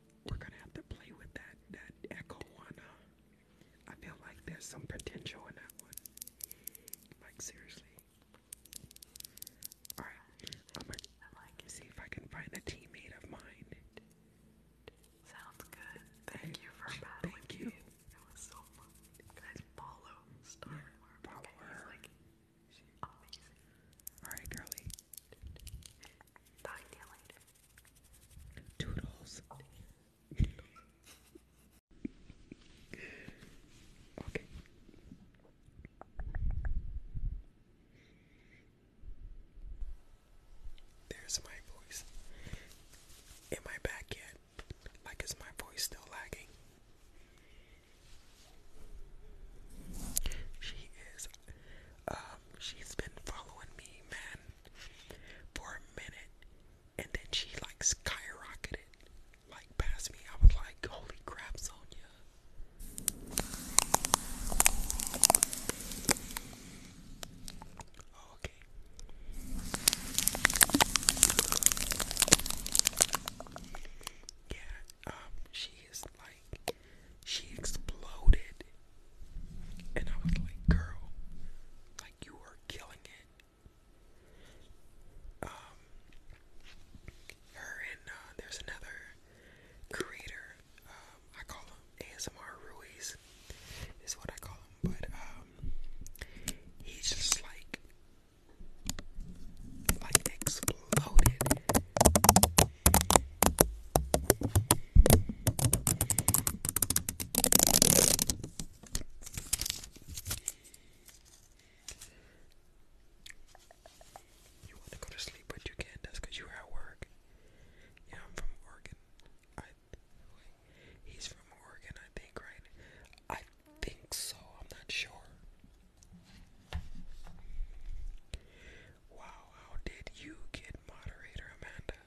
A: we're gonna have to play with that that echo one. I feel like there's some potential in that one. Like seriously. All right, I'm gonna see if I can find a teammate of mine. Sounds good. Thank you for battling. Thank you. It was so fun. Guys, follow
B: Star yeah, Follow Like, she's amazing. All right, girlie. Talk to you
A: okay. There's my voice. Am I back yet? Like, is my voice still lagging? She is um, she's been following me, man, for a minute, and then she like skyrocketed, like past me. I was like, "Holy crap, Sonia!" Oh, okay. Yeah, um, she is like she exploded. And I was like, girl, like you are killing it. Um, her and uh, there's another creator. Um, I call him ASMR Ruiz. Is what I call him, but um, he's just like, like exploded. You want to go to sleep, but you can't. That's you were at work. Yeah, I'm from Oregon. I, he's from Oregon, I think, right? I think so. I'm not sure. Wow, how did you get moderator, Amanda?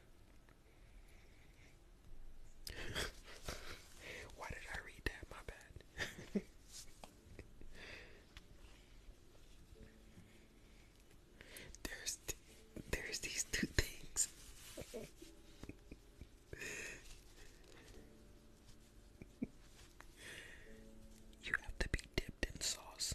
A: [laughs] Why did I read that? My bad. [laughs] there's there's these two things. [laughs] you have to be dipped in
B: sauce.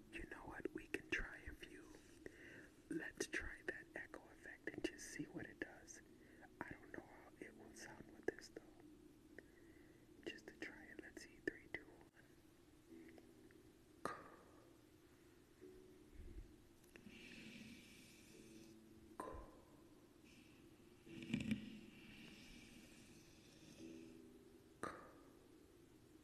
A: You know what? We can try a few. Let's try that echo effect and just see what it does. I don't know how it will sound with this though. Just to try it. Let's see. Three, two, one. Cool. Cool.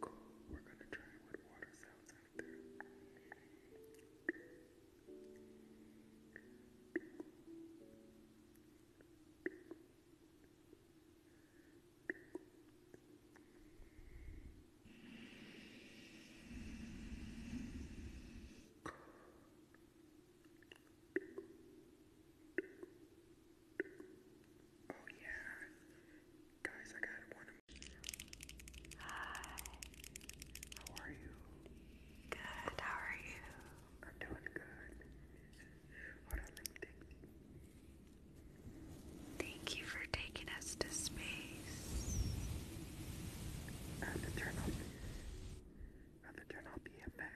A: Cool. We're gonna try what water sounds after. Cool. Cool. Oh yeah. Guys, I got one of Hi. How are you? Good, how are you? I'm doing good. Hold on, let Thank you for taking us to space. I have to I have to turn off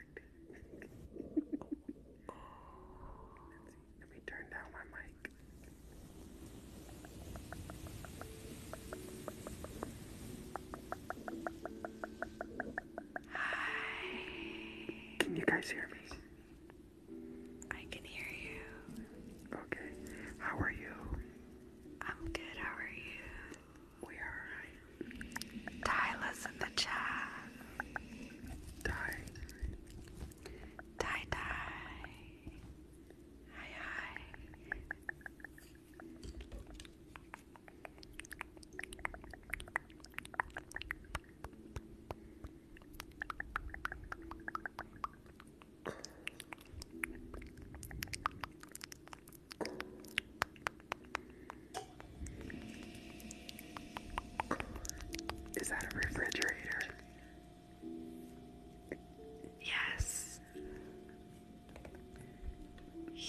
A: let me turn down my mic. Hi. Can you guys hear me? I can hear you. Okay. How are you? I'm good. How are you? We are alright. Tyla's in the chat. Ty,
B: Die die, Hi hi. Is that a refrigerator? Yes.
A: [laughs]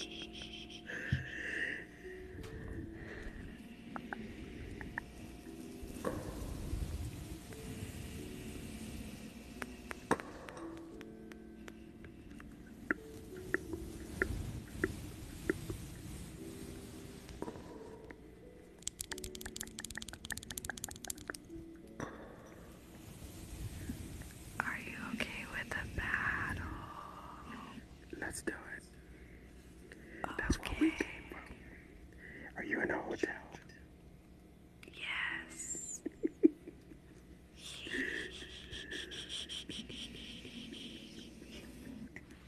A: Are you okay with a battle? Let's do it. That's what we came from. Are you in a hotel? Yes. [laughs]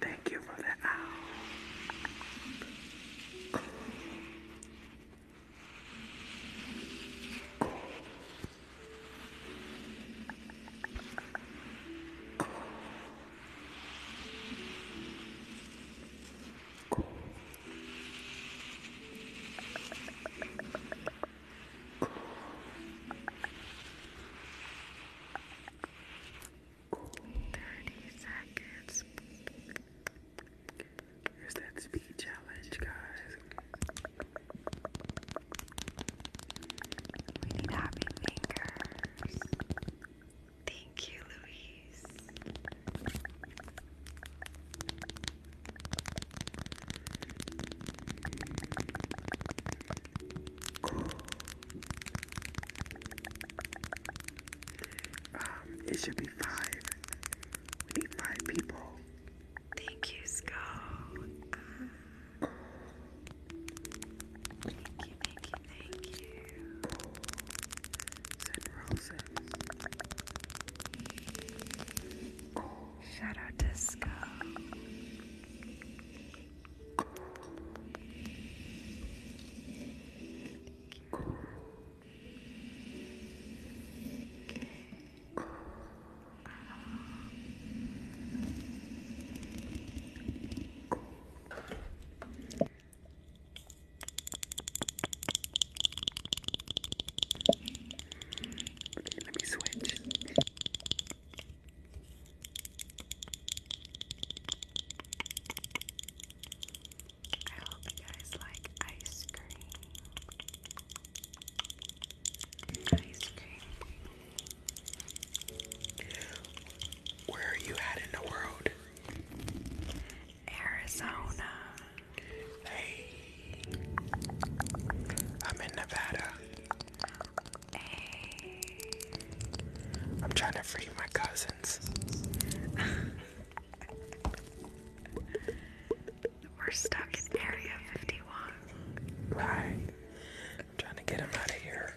A: Thank you for that. Thirty seconds. Here's that speed challenge, guys. We need happy fingers. Thank you, Louise. Um, it should be five. We need people. Thank you, Skull. thank you, thank you, thank you. Send roses. Let
B: me switch. I hope you guys like ice cream. Ice cream.
A: Where are you at in the world? Arizona. Hey. I'm in Nevada. I'm trying to free my cousins. We're stuck in Area 51. Right. trying to get them out of here.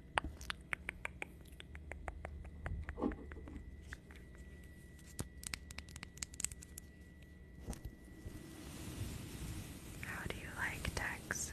A: How do you like Texas?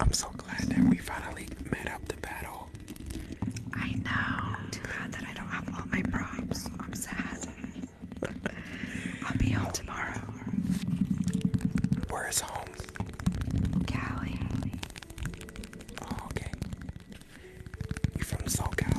A: I'm so glad that we finally met up the battle. I know. Too bad that I don't have all my props. I'm sad. I'll be home tomorrow. Where is home? Cali. Oh, okay. You from SoCal?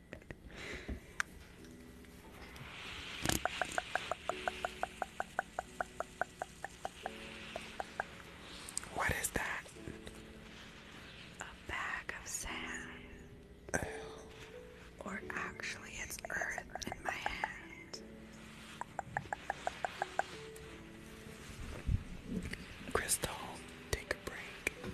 A: What is that? A bag of sand. Or actually, it's earth in my hand. Crystal, take a break.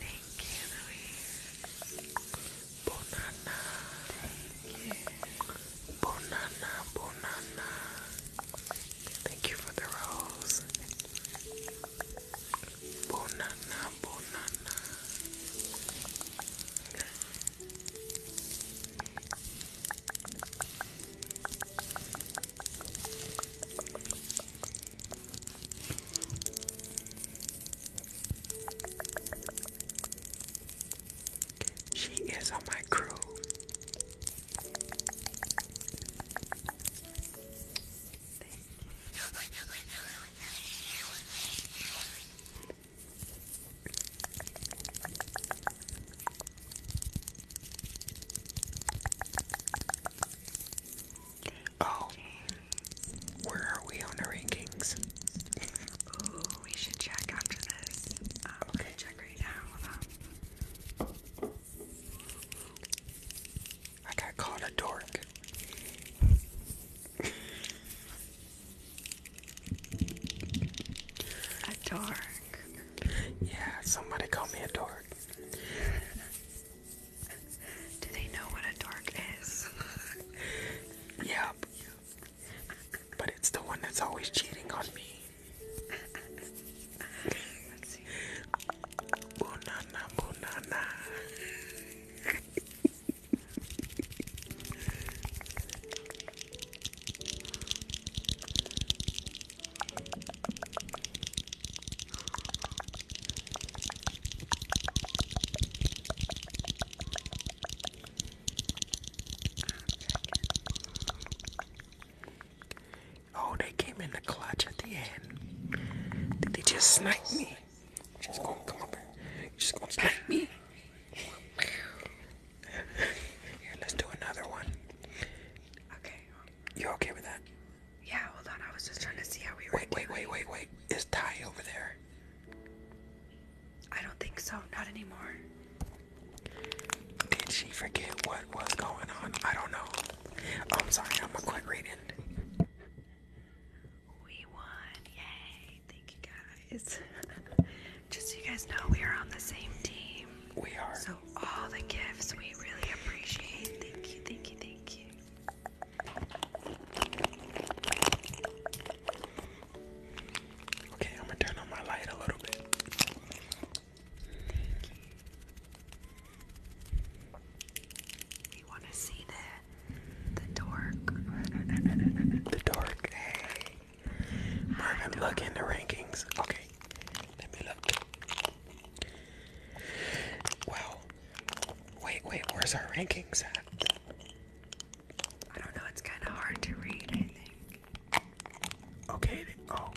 A: Thank you, Louise. Banana. Thank you. Thank you for the rose. Banana, banana.
B: She is on my crew.
A: Oh, where are we on the rankings? Ooh, we should check after this. Um, okay, check right now. I got called a dork. A dork. Yeah, somebody called me a dork. Do they know what a dork is? yep. But it's the one that's always cheating on me. Oh, they came in the clutch at the end. Did they just snipe me? you just gonna come up here. you just gonna smack me. Here, let's do another one. Okay. You okay with that? Yeah, hold on. I was just trying to see how we were. Wait, wait, wait, wait, wait. Is Ty over there? I don't think so. Not anymore. Did she forget what was going on? I don't know. Oh, I'm sorry. I'm gonna quit reading. We won. Yay. Thank you guys. [laughs] Just so you guys know, we are on the same team. We are. So all the gifts we really appreciate. Thank you, thank you, thank you. Okay, I'm gonna turn on my light a little bit. you. wanna see that? the dork. the dork. Hey. Marvin, look in the rankings. Okay. Let me look. Wow. Wait, wait, where's our rankings at? I don't know, it's kind of hard to read, I
B: think. Okay, oh,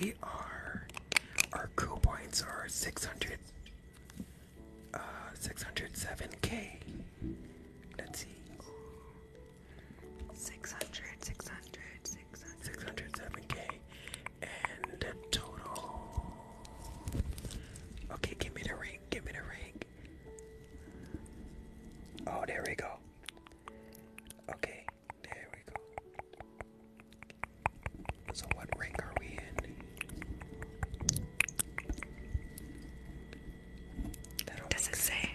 B: we are. Our cool points are
A: 600 uh, 607k. Let's see. 600, k And the total. Okay, give me the ring. Give me the ring. Oh, there we go. Okay, there we go. So, what rank are we in? Does it say?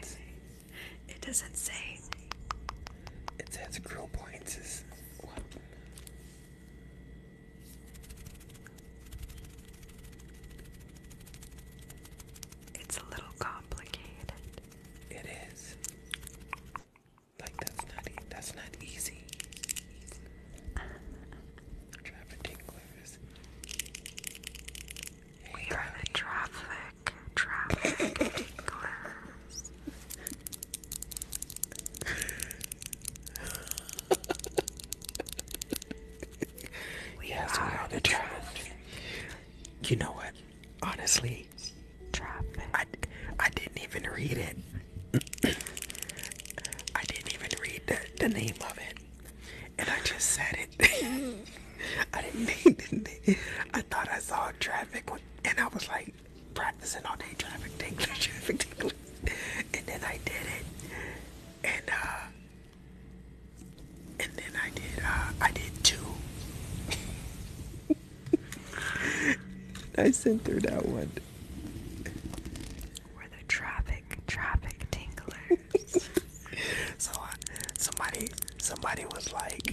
A: It doesn't say. It says grill points is what? It's a little complicated. It is. Like that's not that's not easy. easy. We are in a traffic, traffic class. we are, the traffic. You know what? Honestly, I, I didn't even read it. [clears throat] I didn't even read the, the name of it and I just said it. [laughs] I didn't mean did it. I thought I saw traffic, and I was like practicing all day traffic, English, [laughs] traffic, and then I did it, and uh, and then I did, uh, I did two. [laughs] I sent through that one. We're the traffic, traffic tinglers. [laughs] so uh, somebody, somebody was like,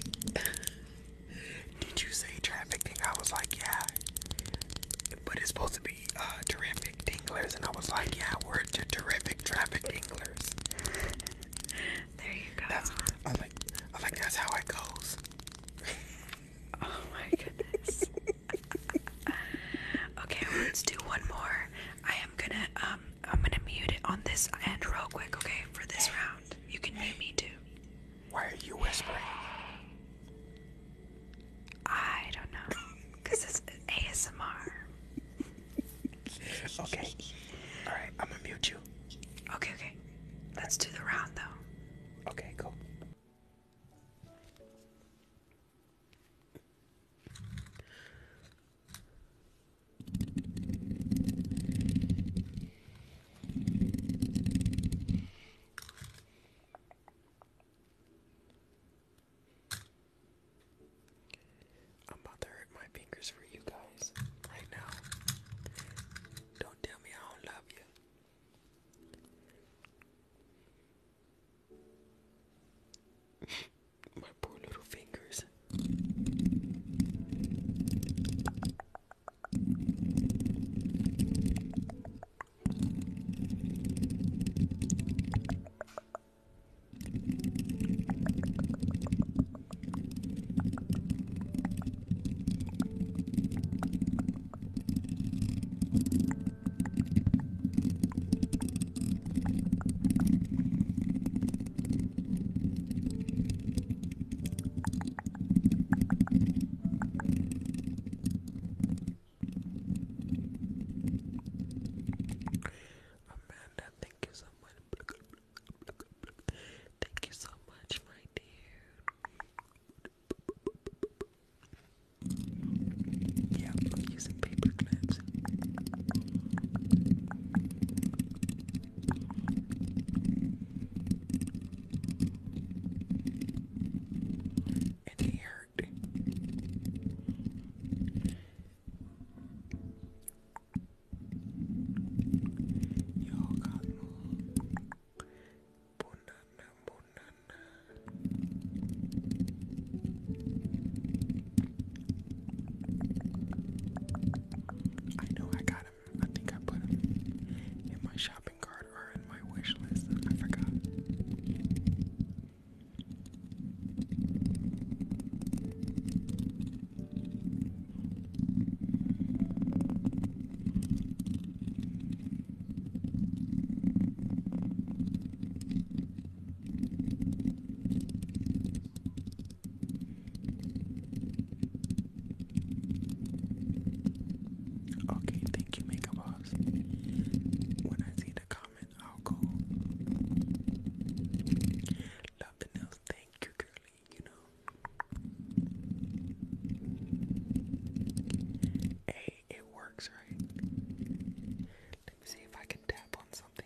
A: "Did you say traffic thing?" I was like, "Yeah," but it's supposed to be uh, terrific tinglers, and I was like, "Yeah, we're the terrific traffic tinglers." There you go. That's, I like, I like that's how it goes. oh my goodness. [laughs] okay, let's do one more. I am gonna um I'm gonna mute it on this end real quick, okay, for this round. You can mute me too. Why are you whispering? I don't know. Cause it's ASMR. [laughs] okay. Alright, I'm gonna mute you. Okay, okay. Let's do the round though. Okay, Cool. I'm about to hurt my fingers for you guys right now. Don't tell me I don't love you. My poor little fingers. Amanda, thank you so much. Thank you so much, my dear. Yeah, i using paper clips. And they hurt. God. Bunana, bunana, I know I got him. I think I put him in my shopping cart or in my wish I forgot. Okay, thank you, Makeup Ops. When I see the comment, I'll go. Love the nails, thank you, girly, you know. Hey, it works, right? Let me see if I can tap on something.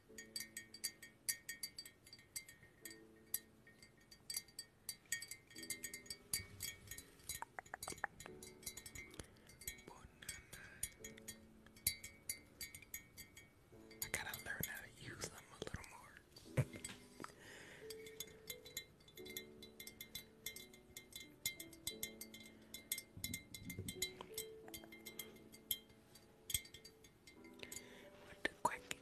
A: I gotta learn how to use them a little more. What the quack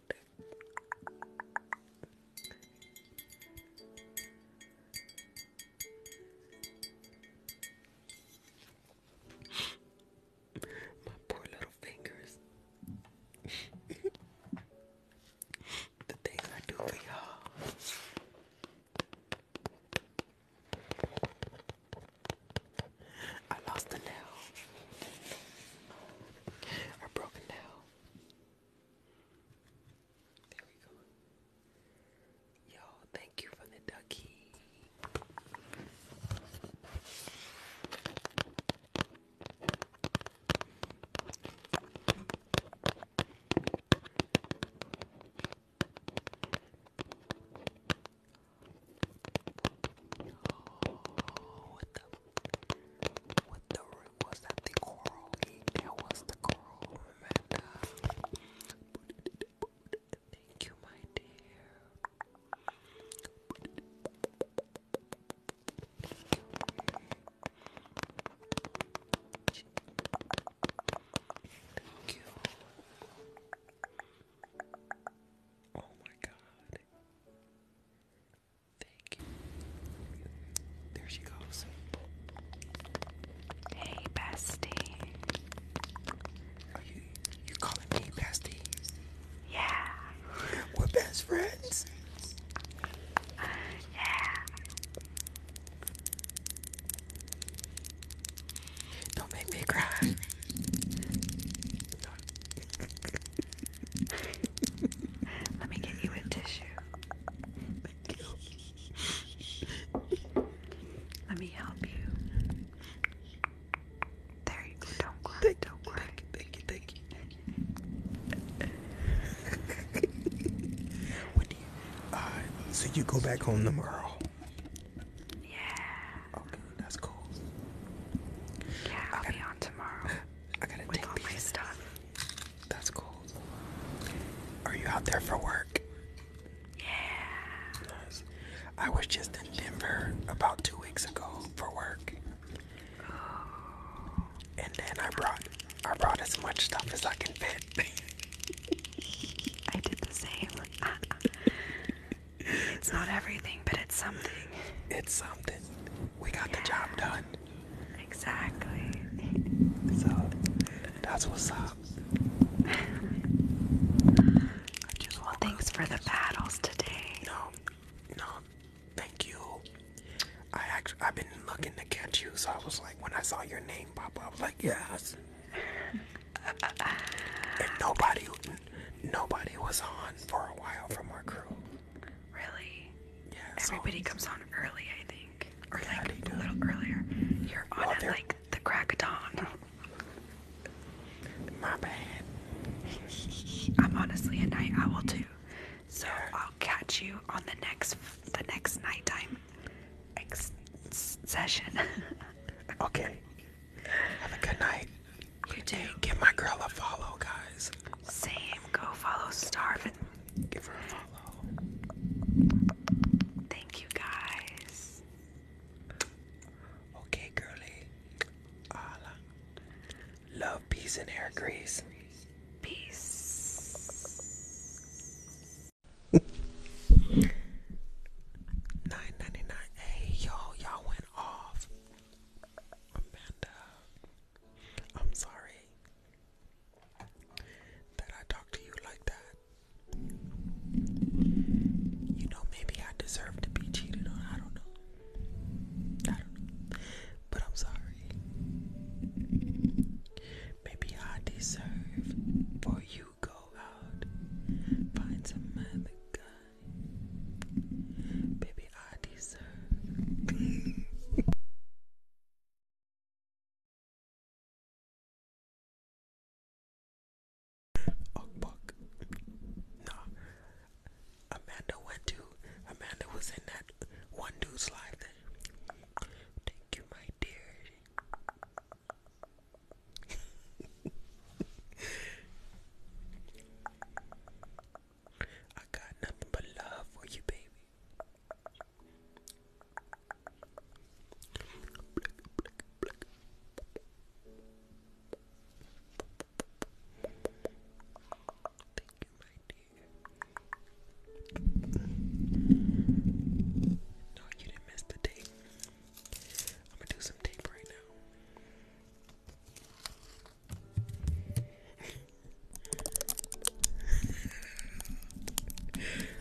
A: My poor little fingers. the things I do for y'all. I lost the nail are broken down. There we go. you thank you for the ducky. What the? What the? Was that the coral? That was the coral, Amanda. Thank you, my dear. Thank you. Oh my god. There she goes. Hey, bestie. Are you you calling me bestie? Yeah. We're best friends. Yeah. Don't make me cry. [laughs] Let me get you a tissue. Let me help you. There you go. Don't cry. Thank do Thank you. Thank you. Thank you. so you go back home tomorrow. Yeah. Okay, that's cool. Yeah, I'll I will be on tomorrow. [laughs] I gotta take my stuff. That's cool. Are you out there for work? Yeah. I was just in Denver about two weeks ago for work. Oh. And then I brought I brought as much stuff as I can fit. [laughs] I did the same. [laughs] it's not everything but it's something. It's something. We got the job done. Exactly. So that's what's up. I [laughs] well, thanks for the battles today. No, no, thank you. I actually I've been looking to catch you, so I was like, when I saw your name pop I was like, yes. [laughs] and nobody, nobody was on for a while from our crew. Really? Yeah. Everybody comes on early, I think, or yeah, like a little earlier. You're on at like the crack My bad. I'm honestly a night owl too, so I'll catch you on the next the next nighttime session. [laughs] okay. Have a good night. You do. Give my girl a follow, guys. Same. Go follow Starvin. Give her a follow. Thank you, guys. Okay, girly. Ala. Love, peace, and hair grease. Peace. 9.99. Hey, you y'all went off. Amanda. I'm sorry that I talked to you like that. You know, maybe I deserve to be cheated on. I don't know. I don't know. But I'm sorry. Maybe I deserve for you go out, find some other guy. Baby, I deserve. oh fuck. Nah. Amanda went to Amanda was in that one dude's life thank you my dear [laughs] I got nothing but love for you, baby. No, you didn't miss the tape. I'm gonna do some tape right now.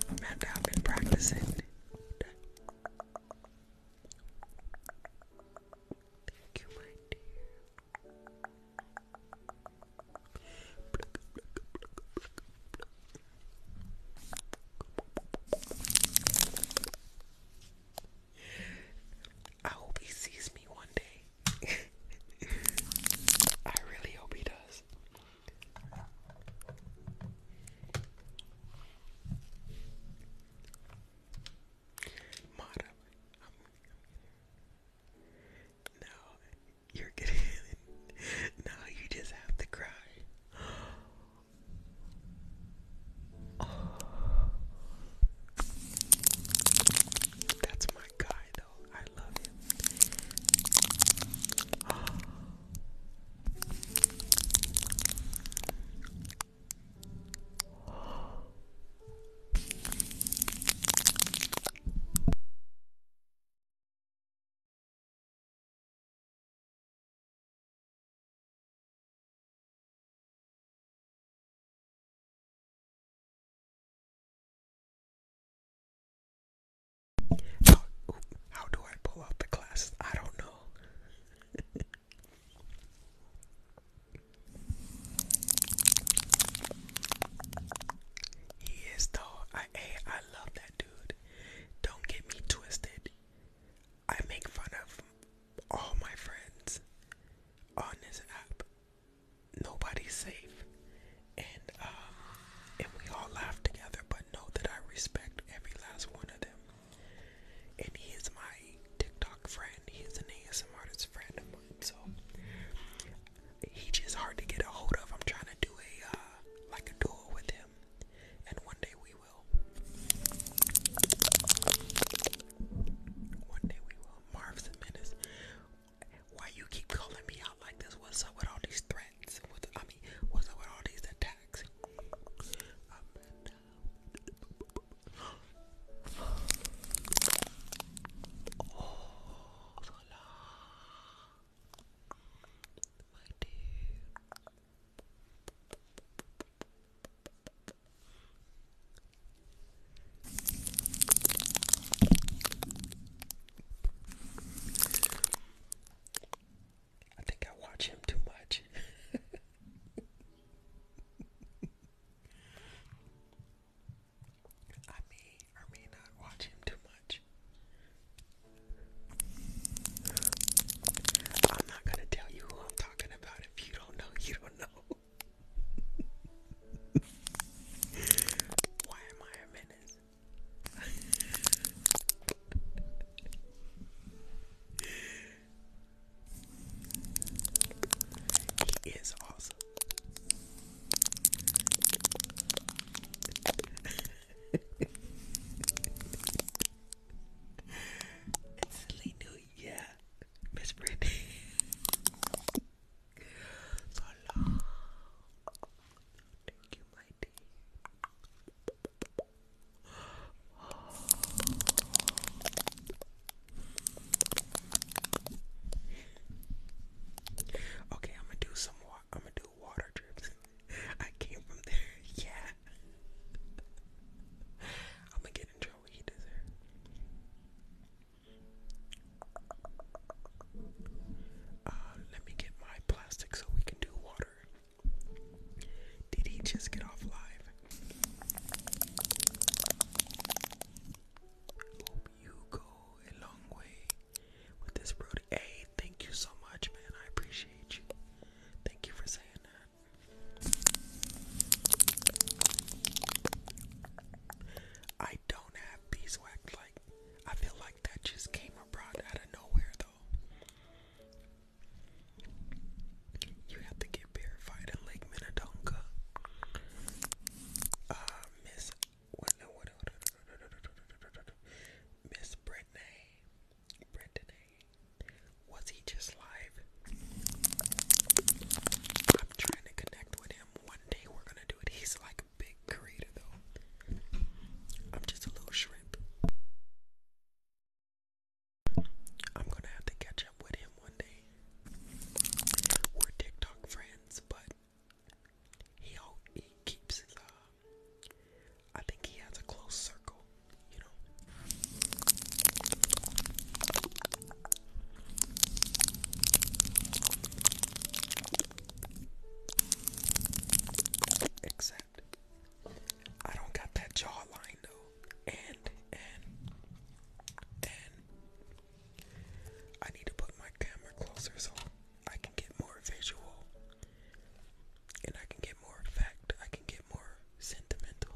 A: Amanda, I've been practicing. Thank you, my dear. I hope he sees me one day. [laughs] I really hope he does. no, you're getting [laughs] no, you just have to cry. [gasps] Oh. That's my guy, though. I love him. How, do I pull out the glasses? I don't know. he is though. I love that dude. Don't get me twisted. I make fun of all my friends on this app nobody's safe. And um, and we all laugh together, but know that I respect every last one of them. And he is my TikTok friend. He is an ASMR artist friend of mine. So he just hard to get a hold of. I'm trying to do a uh, like a duel with him, and one day we will. One day we will. Marv's a menace. Why you keep calling me out like this? What's up with all these threats? I mean, what's up with all these attacks? I think I watch him too much. [laughs] I may or may not watch him too much. I'm not gonna tell you who I'm talking about. If you don't know, you don't know. Why am I a menace? he is awesome. [laughs] it's new yeah, Miss Brandy. [laughs] So long. Thank you, my dear. Okay, I'm gonna do some I'm gonna do water drips. [laughs] I came from there. [laughs] Yeah. [laughs] I'm gonna get in trouble. He deserves. Uh, let me get my plastic so we can do water. Did he just get off live? Hope you go a long way with this, bro. Hey, thank you so much, man. I appreciate you. Thank you for saying that. I don't have beeswax. Like, I feel like that just came abroad out of nowhere, though. You have to get verified in Lake Minnetonka. Uh, Miss. Miss Brittany. Brittany. Was he just live? I'm trying to connect with him one day. We're gonna do it. He's like a big creator though. I'm just a little shrimp. I'm gonna have to catch up with him one day. We're TikTok friends, but he he keeps his. Uh, I think he has a close circle, you know. Except I don't got that jawline though. And and and I need to put my camera closer so I can get more visual. And I can get more fact. I can get more sentimental.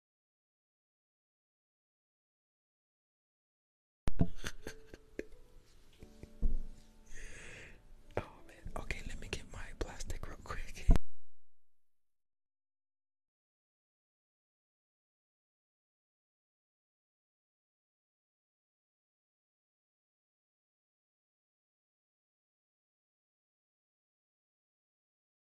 B: Oh man, okay, let me get my plastic real quick.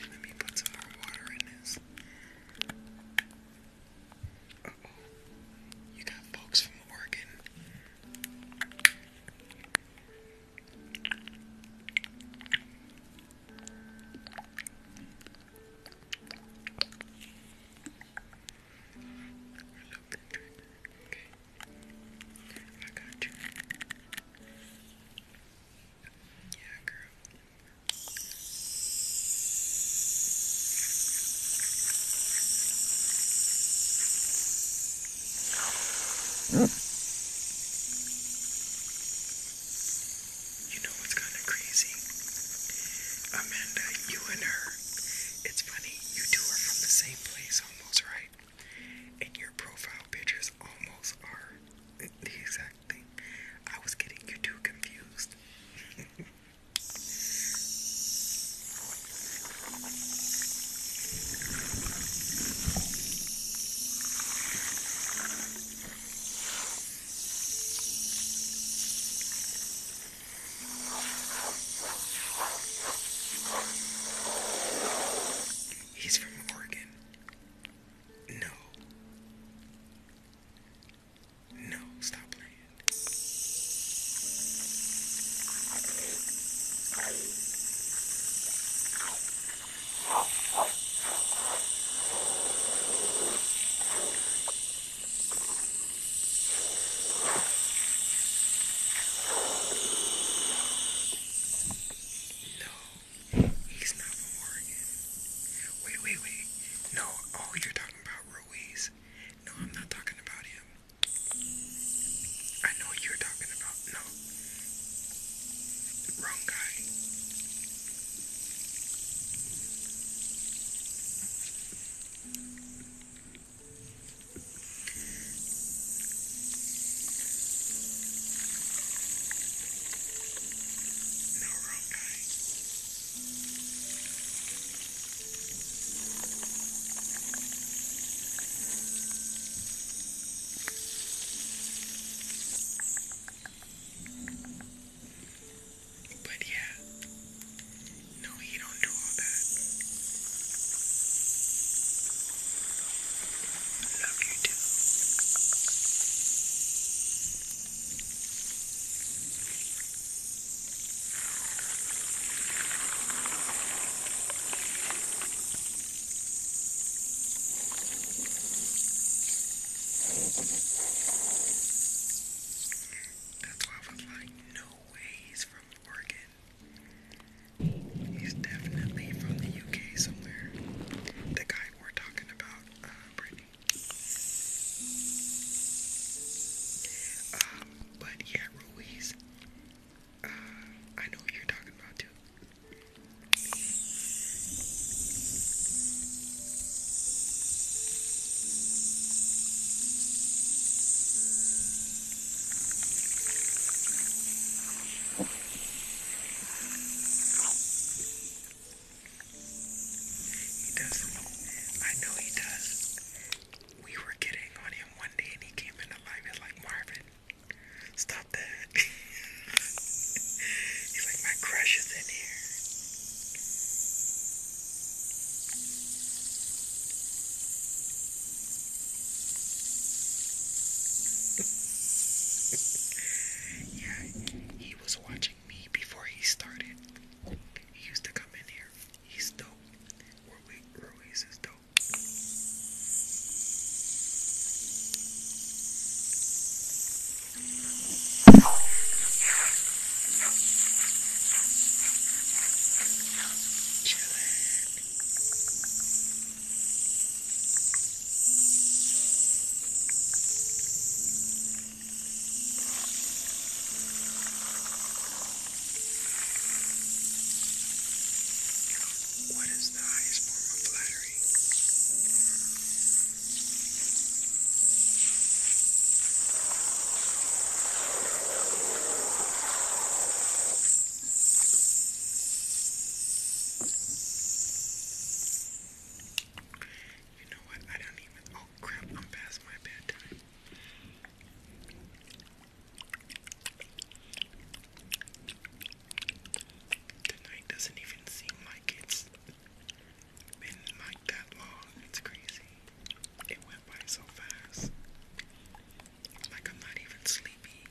A: Let me put some more water in this. oh. You got folks from Oregon. Okay. I got you. Yeah, girl. You know what's kind of crazy? Amanda, you and her. It's funny, you two are from the same place almost, right? And your profile pictures almost are the exact I was getting you too confused. He's from Oregon. No. No, stop playing. No.
B: He's not from Wait, wait, wait. No, oh, you're talking about Ruiz. No, I'm not talking about him. I know you're talking about. No. Wrong guy. No, But yeah, no, he don't do
A: all that. Love you too. That's why I was like, no way from Oregon. He's definitely from the UK somewhere. The guy we're talking about, uh, um, but yeah, Ruiz. Ah, I know you're talking about too. He does. I know he does. We were getting on him one day and he came into life. He's like, Marvin, stop that. [laughs] He's like, my crush is in here. [laughs] yeah, he was watching me before he started. He used to come in here. He's dope. Ruiz, is dope. Chillin'. What is the highest form of flattery? You know what? I don't even. Oh crap! I'm past my bedtime. Tonight doesn't even seem like it's been like that long. It's crazy. It went by so fast. Like I'm not even sleepy.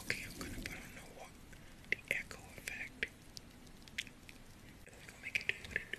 A: Okay, I'm gonna put on the echo effect. we gonna make it do what it do.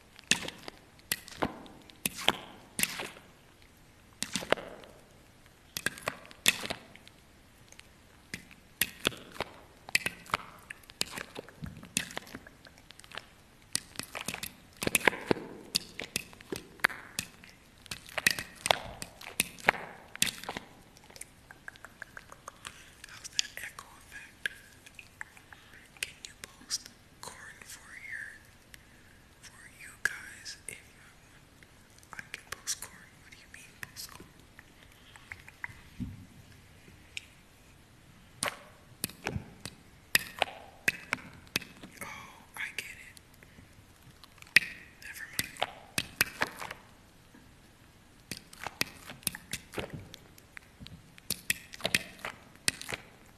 A: How's that echo effect? Can you post corn for your for you guys if you have I can post corn. What do you mean post corn? Oh, I get it. Never mind.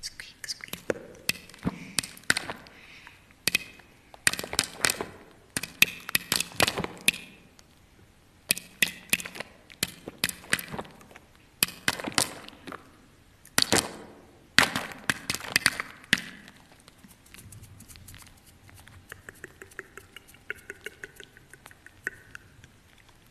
A: squeak, squeak.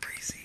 A: Breezy.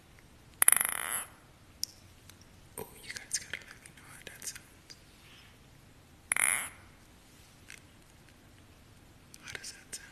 A: Oh, you guys gotta let me know how that sounds. How does that sound?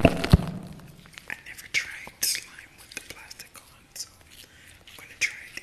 A: I never tried slime with the plastic on, so I'm gonna try it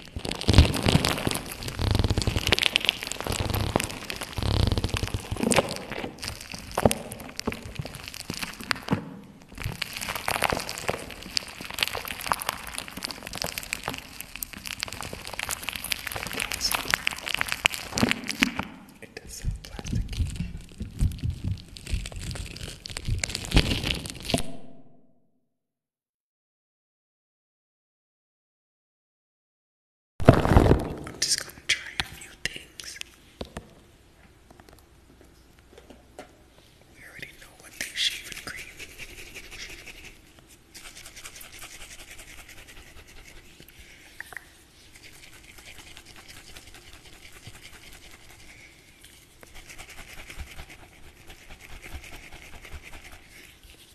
A: It does sound plasticky. I'm just gonna try a few things. We already know what they shave and cream.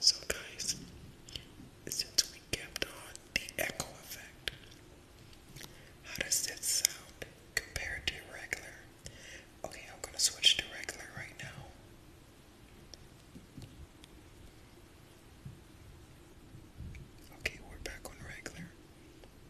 A: So, guys, since we kept on the echo effect, how does that sound compared to regular? Okay, I'm gonna switch to regular right now. Okay, we're back on regular.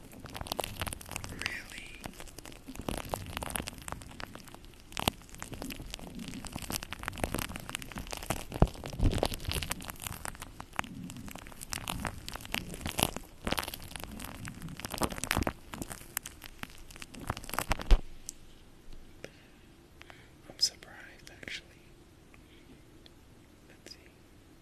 A: Really? I'm surprised actually. Let's see.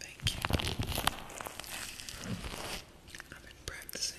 A: Thank you. I've been practicing.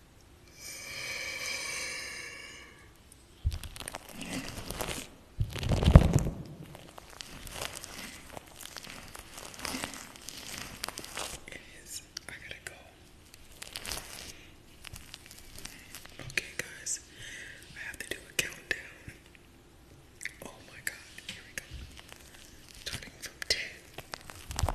B: Is I gotta go. Okay, guys, I have to do a countdown. Oh my god, here we go. Starting from 10. 9,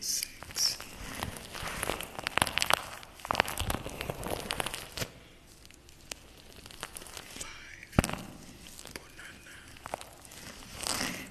B: six. Five banana. Four. Five.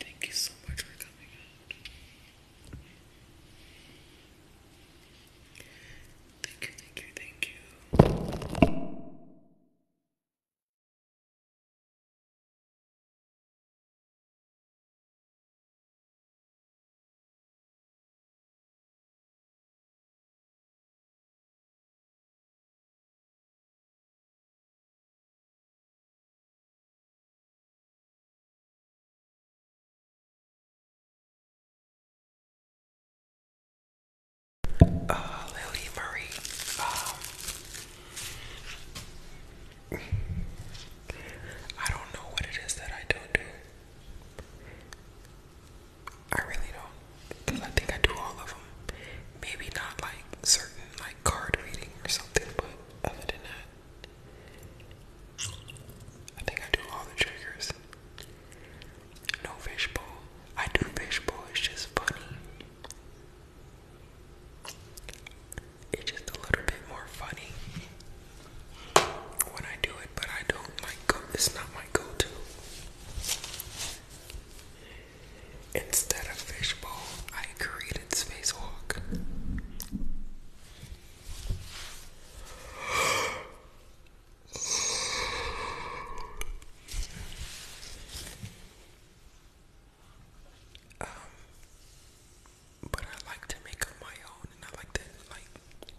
B: Thank you so much for coming out. Thank you, thank you, thank you. Uh, Lily Marie, um, I don't know what it
A: is that I don't do. I really don't. I think I do all of them. Maybe not like certain like card reading or something, but other than that, I think I do all the triggers. No fishbowl. I do fishbowl, it's just funny. It's just a little bit more funny when I do it, but I don't like It's not my go-to. Instead of fishbowl, I created spacewalk. Um, but I like to make up my own, and I like to like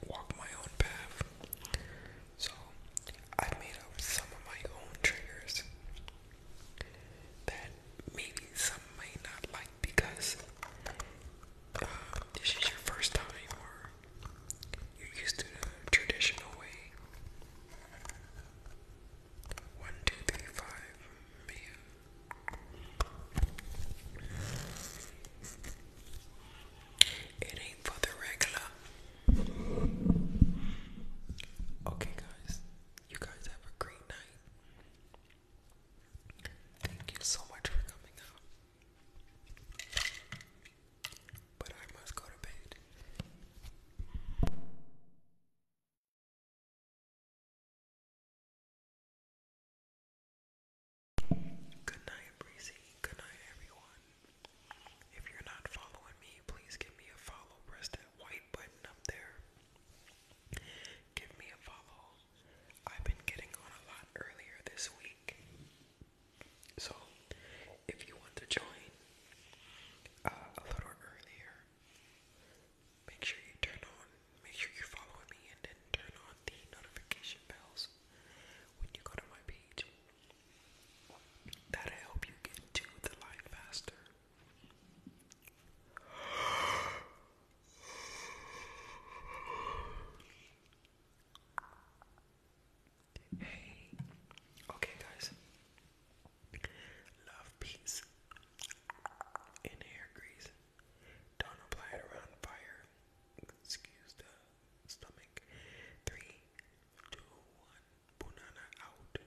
A: walk my own path. So I made up some of my own triggers that maybe some may not like because uh, this is your first time or you're used to the traditional way. One, two, three, five, It ain't for the regular. Okay, guys, you guys have a great night. Thank you so much for coming out. But I must go to bed. Good night, Breezy. Good night, everyone. If you're not following me, please give me a follow. Press that white button up there. Give me a follow. I've been getting on a lot earlier this week. So, if you want to join uh, a little earlier, make sure you turn on, make sure you follow me, and then turn on the notification bells when you go to my page. That'll help you get to the live faster. Hey, okay, guys, love peace and hair grease.
B: Don't apply it around fire. Excuse the stomach. Three, two, one. Banana out.